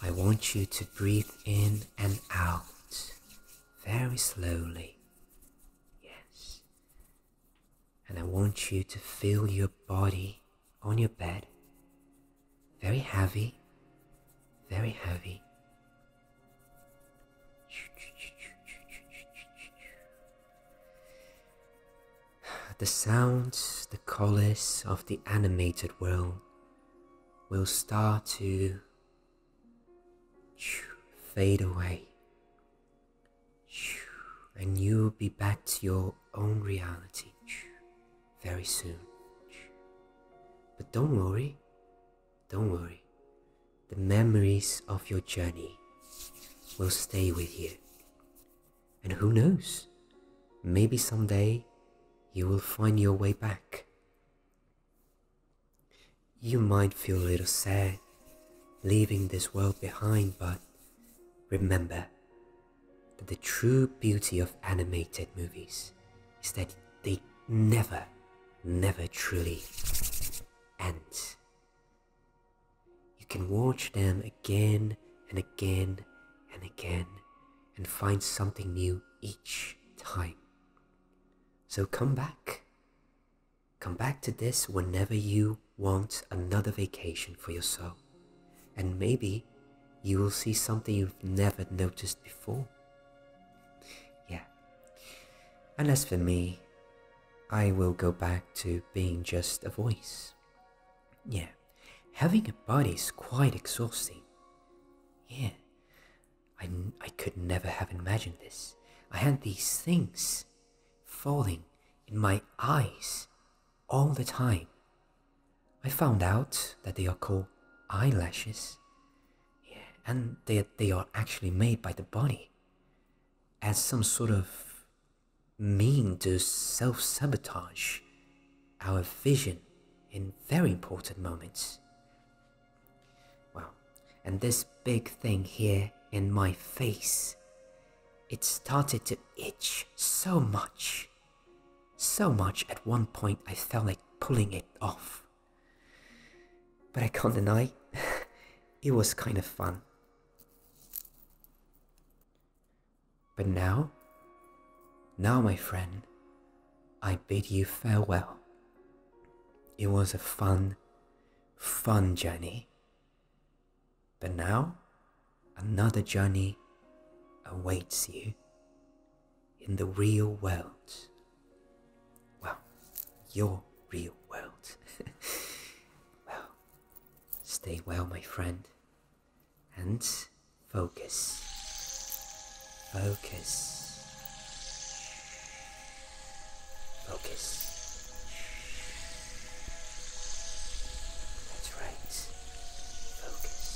I want you to breathe in and out very slowly. Yes. And I want you to feel your body on your bed. Very heavy, very heavy. The sounds, the colors of the animated world will start to you fade away. And you'll be back to your own reality very soon. But don't worry, don't worry. The memories of your journey will stay with you. And who knows, maybe someday you will find your way back. You might feel a little sad leaving this world behind, but remember that the true beauty of animated movies is that they never, never truly end. You can watch them again and again and again and find something new each time. So come back Come back to this whenever you want another vacation for your soul, and maybe you will see something you've never noticed before. Yeah. And as for me, I will go back to being just a voice. Yeah, having a body is quite exhausting. Yeah, I, I could never have imagined this. I had these things falling in my eyes all the time. I found out that they are called eyelashes. and they, they are actually made by the body as some sort of mean to self sabotage our vision in very important moments. Well, and this big thing here in my face. It started to itch so much. So much at one point I felt like pulling it off. But I can't deny, [LAUGHS] it was kind of fun. But now, now my friend, I bid you farewell. It was a fun, fun journey. But now, another journey awaits you in the real world. Well, your real world. [LAUGHS] well, stay well, my friend, and focus. Focus. Focus. That's right. Focus.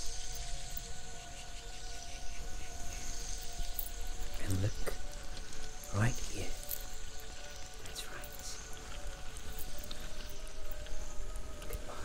And look right here. That's right. Goodbye.